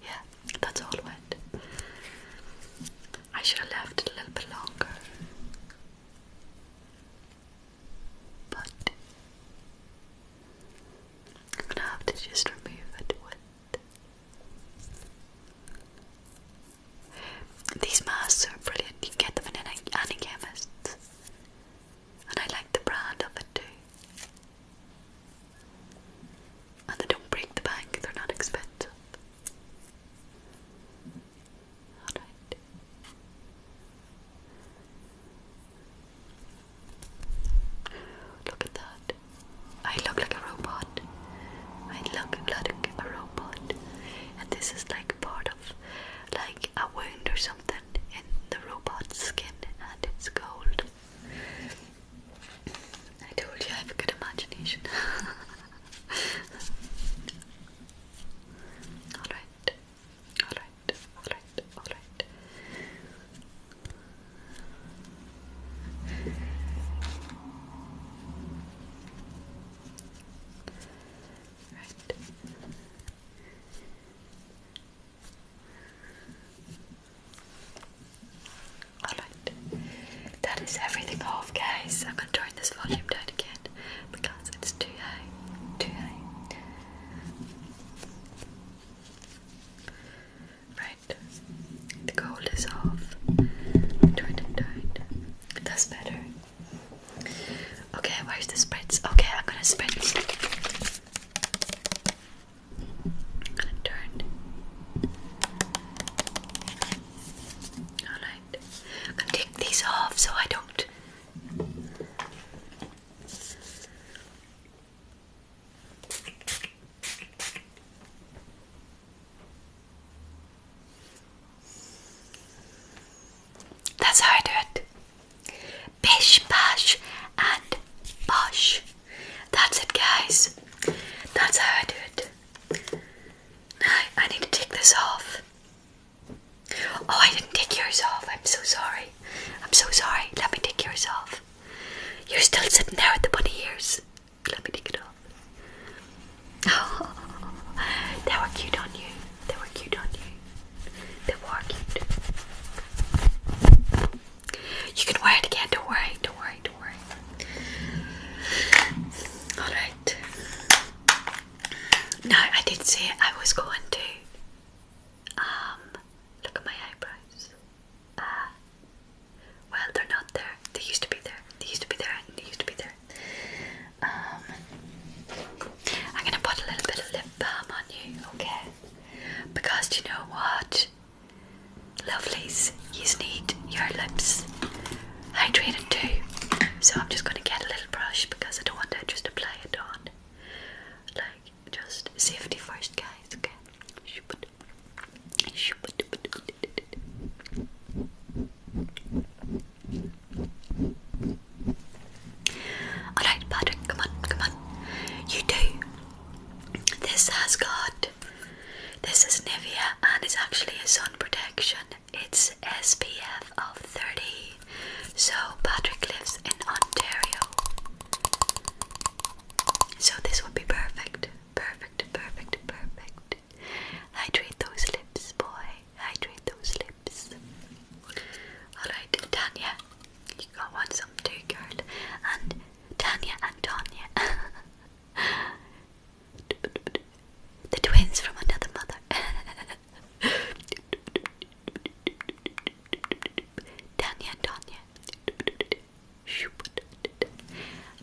Yeah, that's all wet. I should have left it a little bit longer. But I'm gonna have to just remove it These masks are brilliant. You can get them in any chemist and I like the brand of it too. And they don't break the bank, they're not expensive. Alright. Look at that. I look like a robot. I look like a robot. And this is like part of like a wound or something something in the robot's skin and it's gold. I told you I have a good imagination. alright, alright, alright, alright. Right. Alright, that is everything off, guys. I'm gonna turn this volume down again because it's too high. Too high. Right, the gold is off. Turn it down. That's better. Okay, where's the spritz? Okay, I'm gonna spritz and turned. Alright. I take these off so I don't that's how I do it. Pish Pash and Posh. That's it, guys. That's how I do it. I need to take this off. Oh, I didn't take yours off. I'm so sorry. I'm so sorry. Let me take yours off. You're still sitting there with the bunny ears. Let me take it off. Oh, they were cute on you. They were cute on you. They were cute. You can wear it again, don't worry, don't worry, don't worry. Alright. No, I did say I was going to um look at my eyebrows. Uh well they're not there. They used to be there. They used to be there they used to be there. Um I'm gonna put a little bit of lip balm on you, okay? Because you know what? Lovelies, you need your lips hydrated too. So I'm just going to get a little brush because I don't want to just apply it on. Like, just safety first, guys, okay? Alright, Patrick, come on, come on. You do. This has got. This is Nivea and it's actually a sun protection. It's SPF of 30. So, Patrick lives in Ontario. So, this would be perfect. Perfect, perfect, perfect. Hydrate those lips, boy. Hydrate those lips. Alright, Tanya, you got one some two girl. And Tanya and Tanya. the twins from another mother. Tanya and Tanya.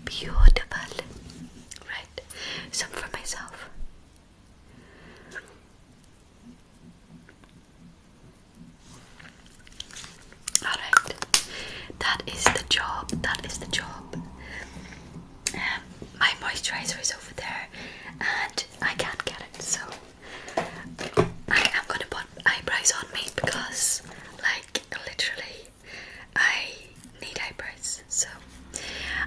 Beautiful. Right, some for myself. Alright, that is the job. That is the job. Um, my moisturizer is over there and I can't get it, so I am gonna put eyebrows on me because, like, literally, I need eyebrows. So,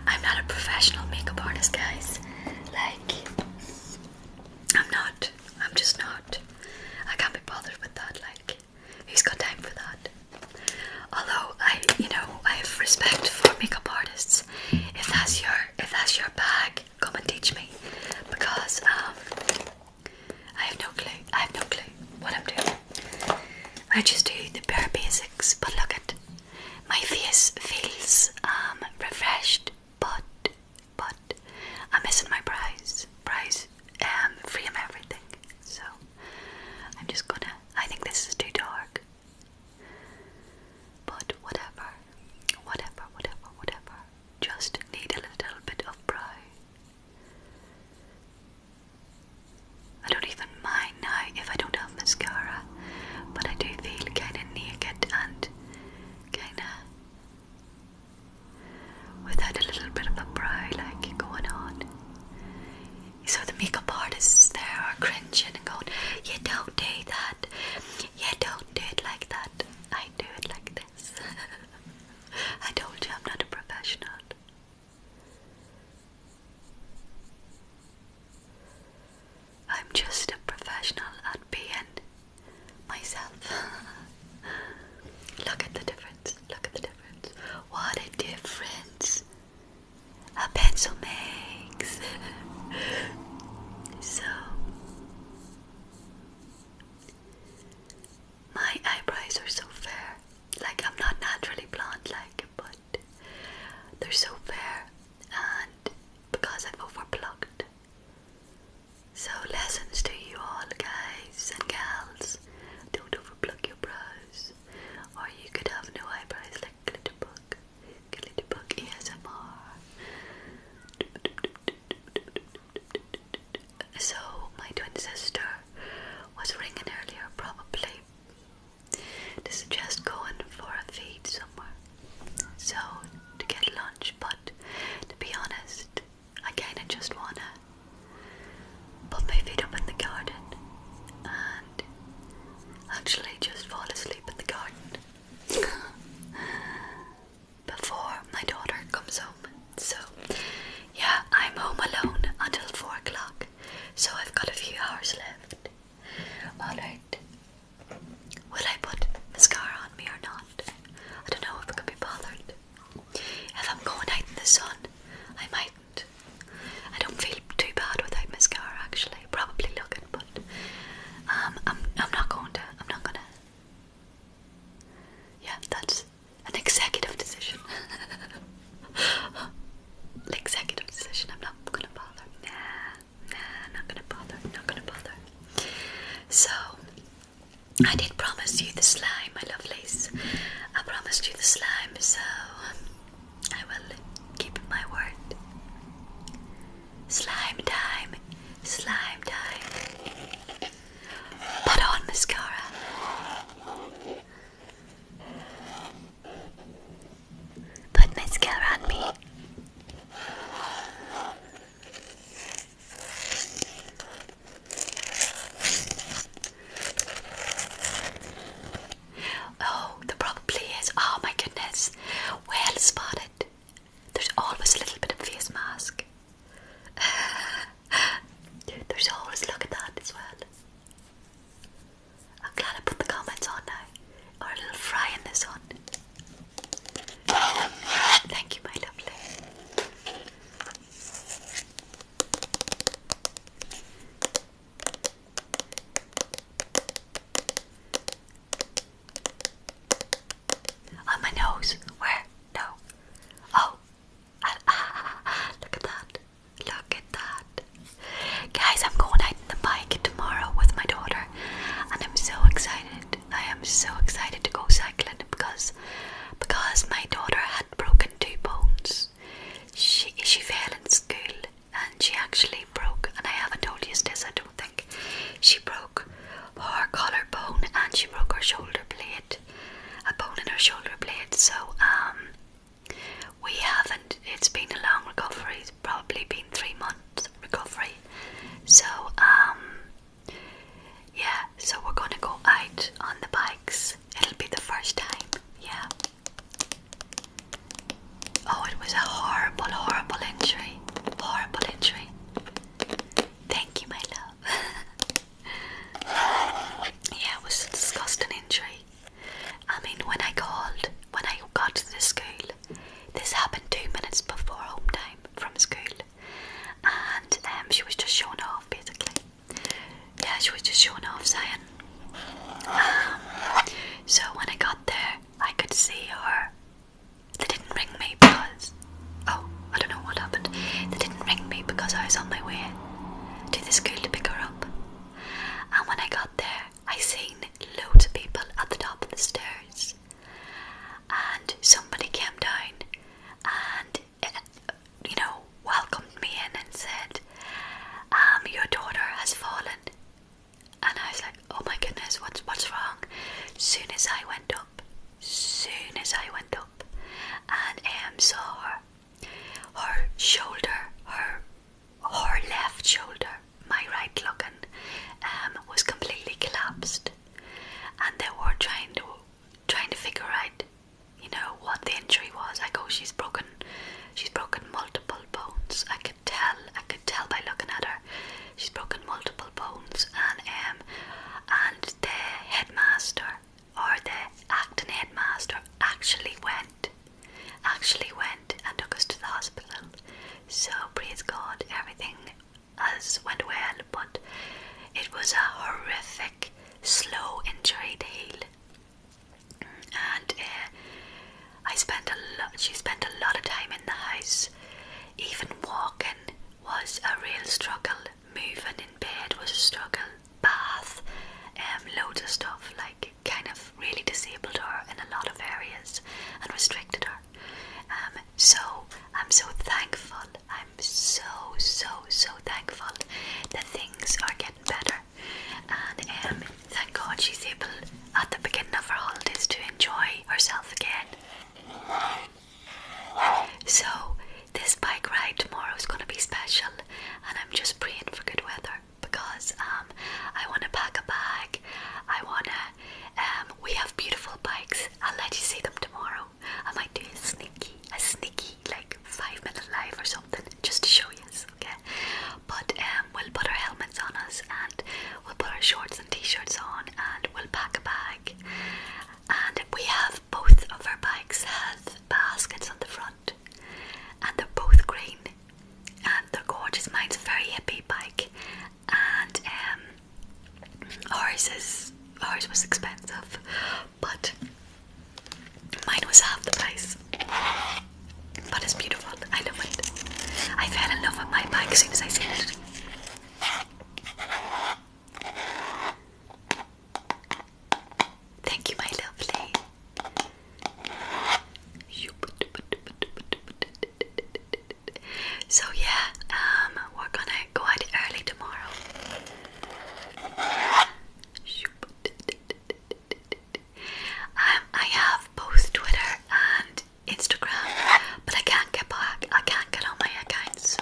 I'm not a professional makeup artist, guys. Like, I'm not. I'm just not. I can't be bothered with that. Like, who's got time for that? Although I, you know, I have respect for makeup artists. If that's your, if that's your bag, come and teach me, because um, I have no clue. I have no clue what I'm doing. I just do the bare basics. But look at my face feels um refreshed, but but I'm missing my prize. Prize um free of everything. So I'm just gonna I think this is too dark. But whatever. Whatever, whatever, whatever. Just need a little bit of brow. I don't even mind now if I don't have mascara, but I do feel kind of naked and kind of without a little bit of a brow like going on. So the makeup artists there are cringing and going, You don't do that. You don't do it like that. I do it like this. I told you I'm not a professional. I'm just a professional at being myself. Look at the difference. Look at the difference. What a difference a pencil makes. so, my eyebrows are so fair. Like, I'm not naturally blonde, like, but they're so fair. And because I've overplucked so, lessons to you all, guys and girls, Don't overplug your brows, or you could have no eyebrows like Glitterbug. Glitterbug ASMR. So, my twin sister was ringing earlier, probably to suggest going for a feed somewhere so to get lunch, but to be honest, I kinda just wanna put my feet up in the garden and actually just fall asleep in the garden before my daughter comes home. So, yeah, I'm home alone until 4 o'clock, so I've got a few hours left. Alright, Will I put mascara on me or not? I don't know if I could be bothered. If I'm going out in the sun, I mightn't. I don't feel too bad without mascara actually. Probably looking, but um, I'm not going to. I'm not gonna. Yeah, that's an executive decision. Executive decision. I'm not gonna bother not gonna bother, not gonna bother. So, I did promise you the slime, my lovelies. I promised you the slime, so I will keep my word. Slime time, slime time. Put on mascara. Put mascara on me. Oh, the probably is. Oh my goodness. Well spotted. There's always a little bit of face mask. There's always look at that as well. I'm glad I put the comments on now. Or little fry in this one. Thank you, my lovely. On my nose. Where? No. Oh. Look at that. Look at that. Guys, I'm going out on the bike tomorrow with my daughter, and I'm so excited. I am so excited to go cycling because because my daughter had broken two bones. She she fell in school and she actually broke and I haven't told you this I don't think. She broke her collarbone and she broke her shoulder blade. A bone in her shoulder blade. So um we haven't it's been a long recovery, it's probably been three months recovery. So um yeah, so we're gonna go out on the bikes. It'll be the first time, yeah. Oh, it was a horrible, horrible injury. Horrible injury. Thank you, my love. yeah, it was a disgusting injury. I mean, when I called, when I got to the school, this happened two minutes before home time from school. And um, she was just showing off, basically. Yeah, she was just showing off, saying. Um, so when I got there, I could see her. They didn't ring me because. Oh, I don't know what happened. They didn't ring me because I was on my way to the school to pick her up. And when I got there, I seen loads of people at the top of the stairs and somebody came down and uh, you know welcomed me in and said um your daughter has fallen and I was like oh my goodness what's what's wrong soon as I went up soon as I went up and um saw her her shoulder her her left shoulder my right looking um was completely collapsed and they were trying to trying to figure out, you know, what the injury was. I go, oh, she's broken, she's broken multiple bones. I could tell, I could tell by looking at her. She's broken multiple bones, and um, and the headmaster or the acting headmaster actually went, actually went and took us to the hospital. So praise God, everything us went well, but it was a horrific, slow injury to And uh, I spent a She spent a lot of time in the house. Even walking was a real struggle. Moving in bed was a struggle. Bath, um, loads of stuff like kind of really disabled her in a lot of areas and restricted her. Um, so I'm so thankful. I'm so, so, so thankful that things are getting better. And um, thank God she's able at the beginning of her holidays to enjoy herself again. So this bike ride tomorrow is going to be special, and I'm just praying for good weather because um, I want to pack a bag. I want to um, we have beautiful bikes. I'll let you see them tomorrow. I might do a sneaky, a sneaky like five minute live or something just to show you. Okay, but um, we'll put our helmets on us and we'll put our shorts and t-shirts on and we'll pack a bag. And we have both of our bikes have baskets on the front, and they're both green and they're gorgeous. Mine's a very hippie bike, and um, ours is ours was expensive, but mine was half the price. But it's beautiful. I love it. I fell in love with my bike as soon as I seen it. Thank you, my lovely. So yeah, um, we're gonna go out early tomorrow. Um, I have both Twitter and Instagram, but I can't get back. I can't get on my accounts.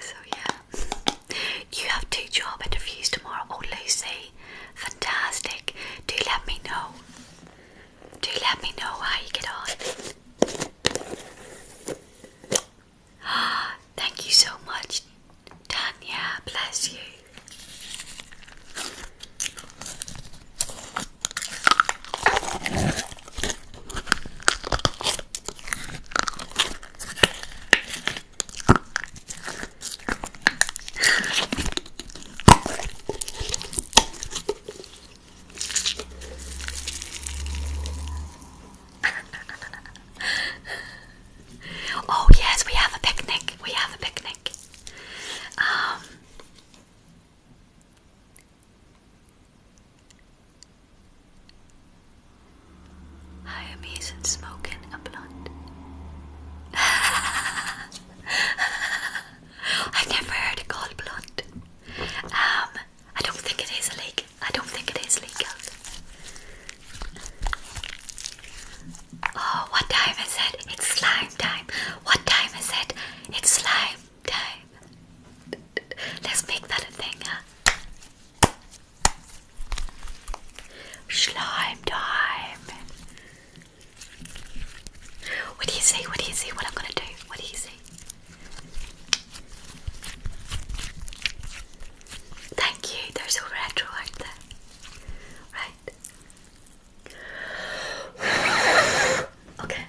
So yeah, you have two job interviews tomorrow. Oh Lucy, fantastic! Do let me know do let me know how you get on. Thank you so much, Tanya. Bless you oh yes, we have a picnic. We have a picnic. Um I am easing smoking a blunt. I've never heard it called blunt. Um, I don't think it is a leak. I don't think it is legal. Oh, what time is it? It's slime time. What time is it? It's slime time. Let's make that a thing, huh? Slime time. What do you see? What do you see? What I'm gonna do? What do you see? Thank you, they're so retro, aren't they? Right. Okay.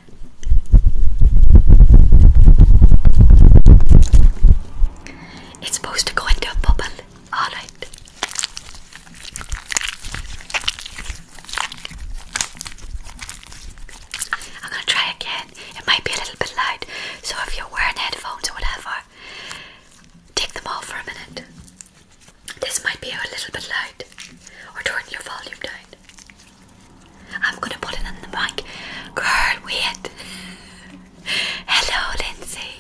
It's supposed to go into a bubble. Alright. I'm gonna try again. It might be a little bit loud, so if you're wearing headphones or whatever, take them off for a minute. This might be a little bit loud, or turn your volume down. I'm gonna put it in the mic. Girl, wait. Hello, Lindsay.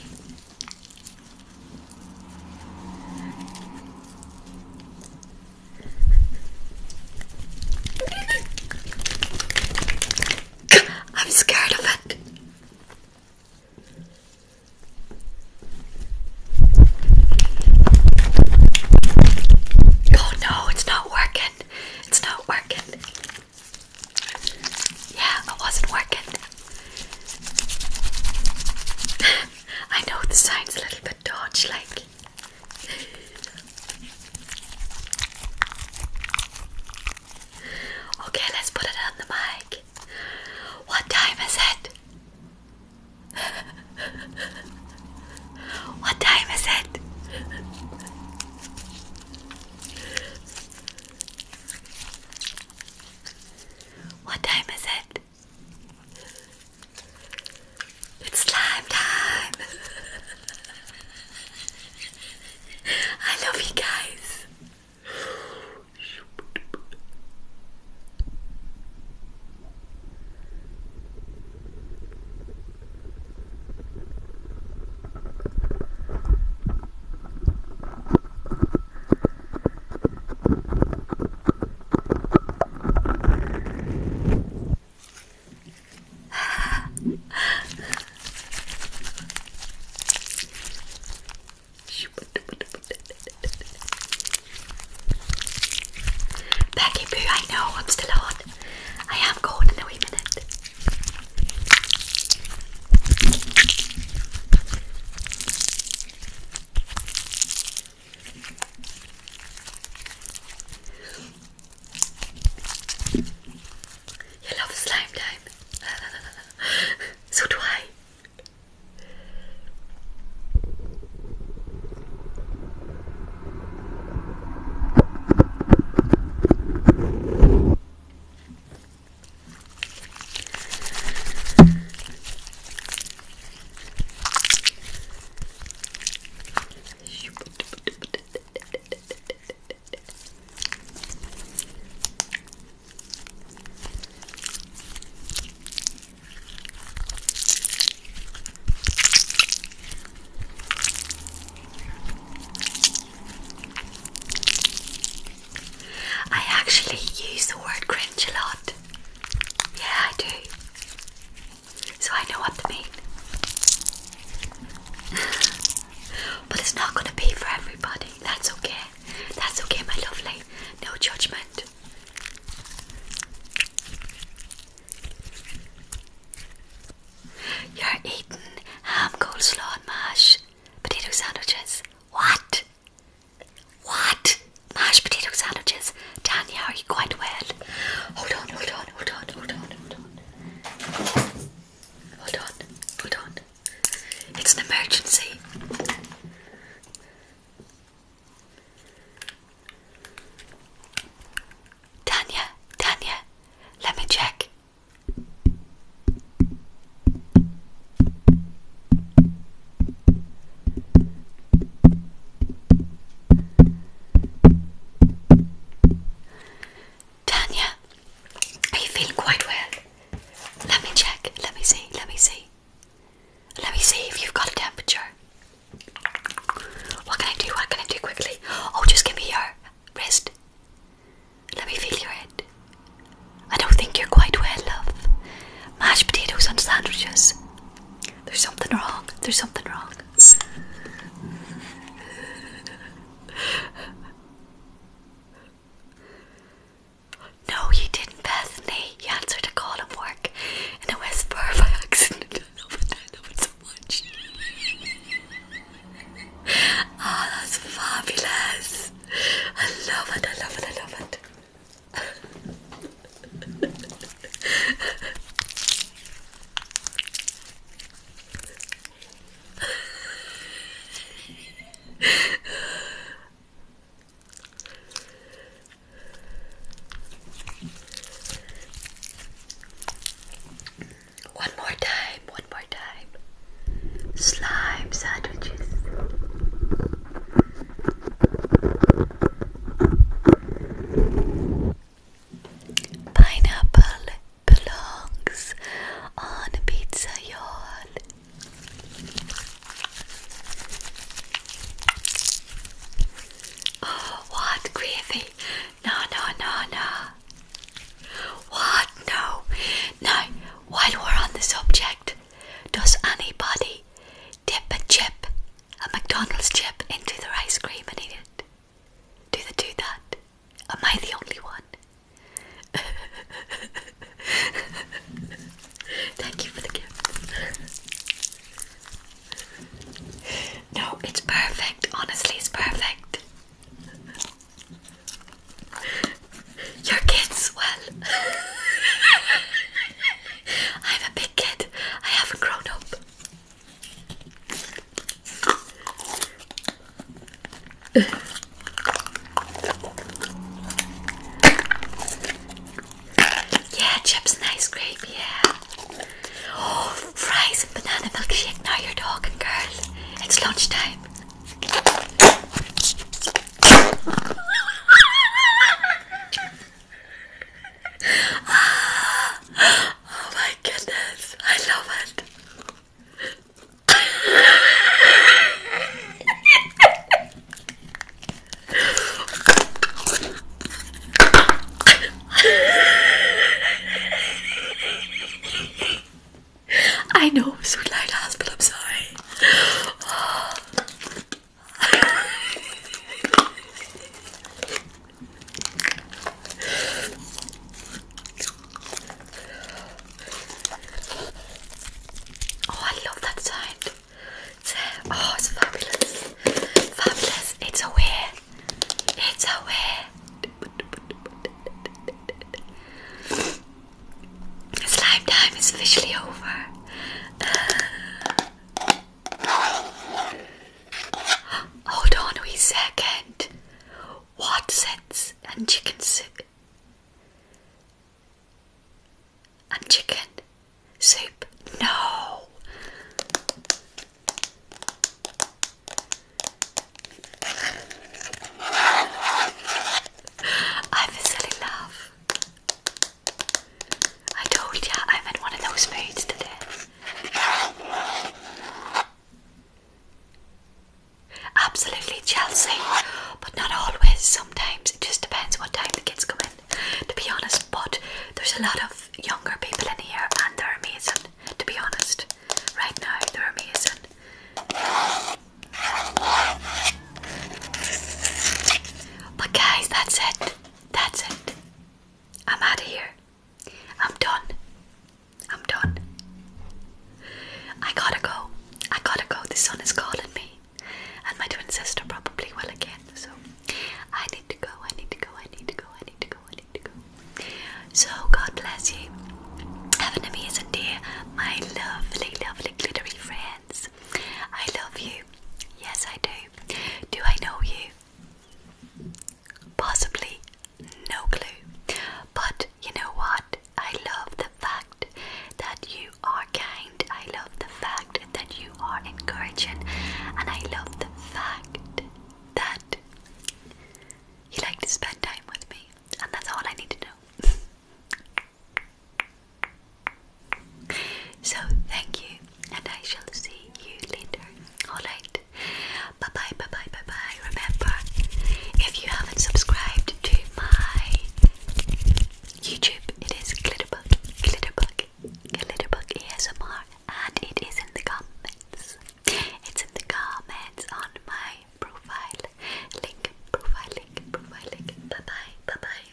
I'm scared of it. Oh no, it's not working. It's not working. Yeah, it wasn't working. I know the sign's a little bit dodgy, like okay, let's put it on the mic. What time is it? what time is it? What time is it? It's slime time! I love you guys! Becky Boo, I know I'm still on. I am going in a wee minute. You love slime time. so do I. I actually use the word cringe a lot. Yeah, I do so I know what to mean. but it's not going to be for everybody. That's okay. That's okay, my lovely. No judgment. You're eating ham, coleslaw, and mash potato sandwiches. What? What? Mashed potato sandwiches yes. are you quite well? Hold on, hold on, hold on, hold on, hold on. Hold on, hold on. It's an emergency. Tanya, Tanya, let me check. Tanya, are you feeling quite well? Let me check. Let me see. Let me see. Let me see if you've got a temperature. What can I do? What can I do quickly? Oh, just give me your wrist. Let me feel your head. I don't think you're quite well, love. Mashed potatoes and sandwiches. There's something wrong. There's something wrong this. No, you didn't, Bethany. You answered a call at work in a whisper by accident. I love it, I love it so much. oh, that's fabulous. I love it, I love it, I love it. One more time, one more time. Slime sandwiches. Pineapple belongs on pizza, y'all. Oh, what gravy? No, no, no, no. What? No. Now, while we're on the subject, does anybody dip a chip a McDonald's chip into the ice cream and eat it. Do they do that? Am I the only one? Thank you for the gift. No, it's perfect. Honestly, it's perfect. Your kids, well, i have a big kid. I haven't grown up yeah, chips and ice cream, yeah. Oh, fries and banana milkshake. Now you're talking, girls. It's lunchtime. Oh my goodness, I love it. I know, it's so light ass, but I'm sorry. Oh, I love that sound. It's, uh, oh, it's fabulous. Fabulous. It's away. It's away. Slime time is officially over. Uh, Hold on a wee second. Watsons and chicken soup. And chicken soup. No. I'm love. I told ya I'm in one of those moods today. Absolutely, Chelsea, but not always. Sometimes it just depends what time the kids come in, to be honest. But there's a lot of younger people in here, and they're amazing, to be honest. Right now, they're amazing. But, guys, that's it. That's it. I'm out of here. I'm done. I'm done. I gotta go. I gotta go. The sun is calling me. And my twin sister probably will again. So I need to go. I need to go. I need to go. I need to go. I need to go. So God bless you. Have an amazing day, my lovely, lovely glittery friends. I love you. Yes, I do. Do I know you? Possibly no clue. But you know what? I love the fact that you are kind. I love the fact that you are encouraging. And I love the fact that you like to spend time with me. And that's all I need to know. so, thank you and I shall see you later. Alright? Bye bye, bye bye, bye bye. Remember, if you haven't subscribed to my YouTube, it is Glitterbug, Glitterbug, Glitterbug ASMR, and it is in the comments. It's in the comments on my profile link, profile link, profile link. Bye bye, bye bye.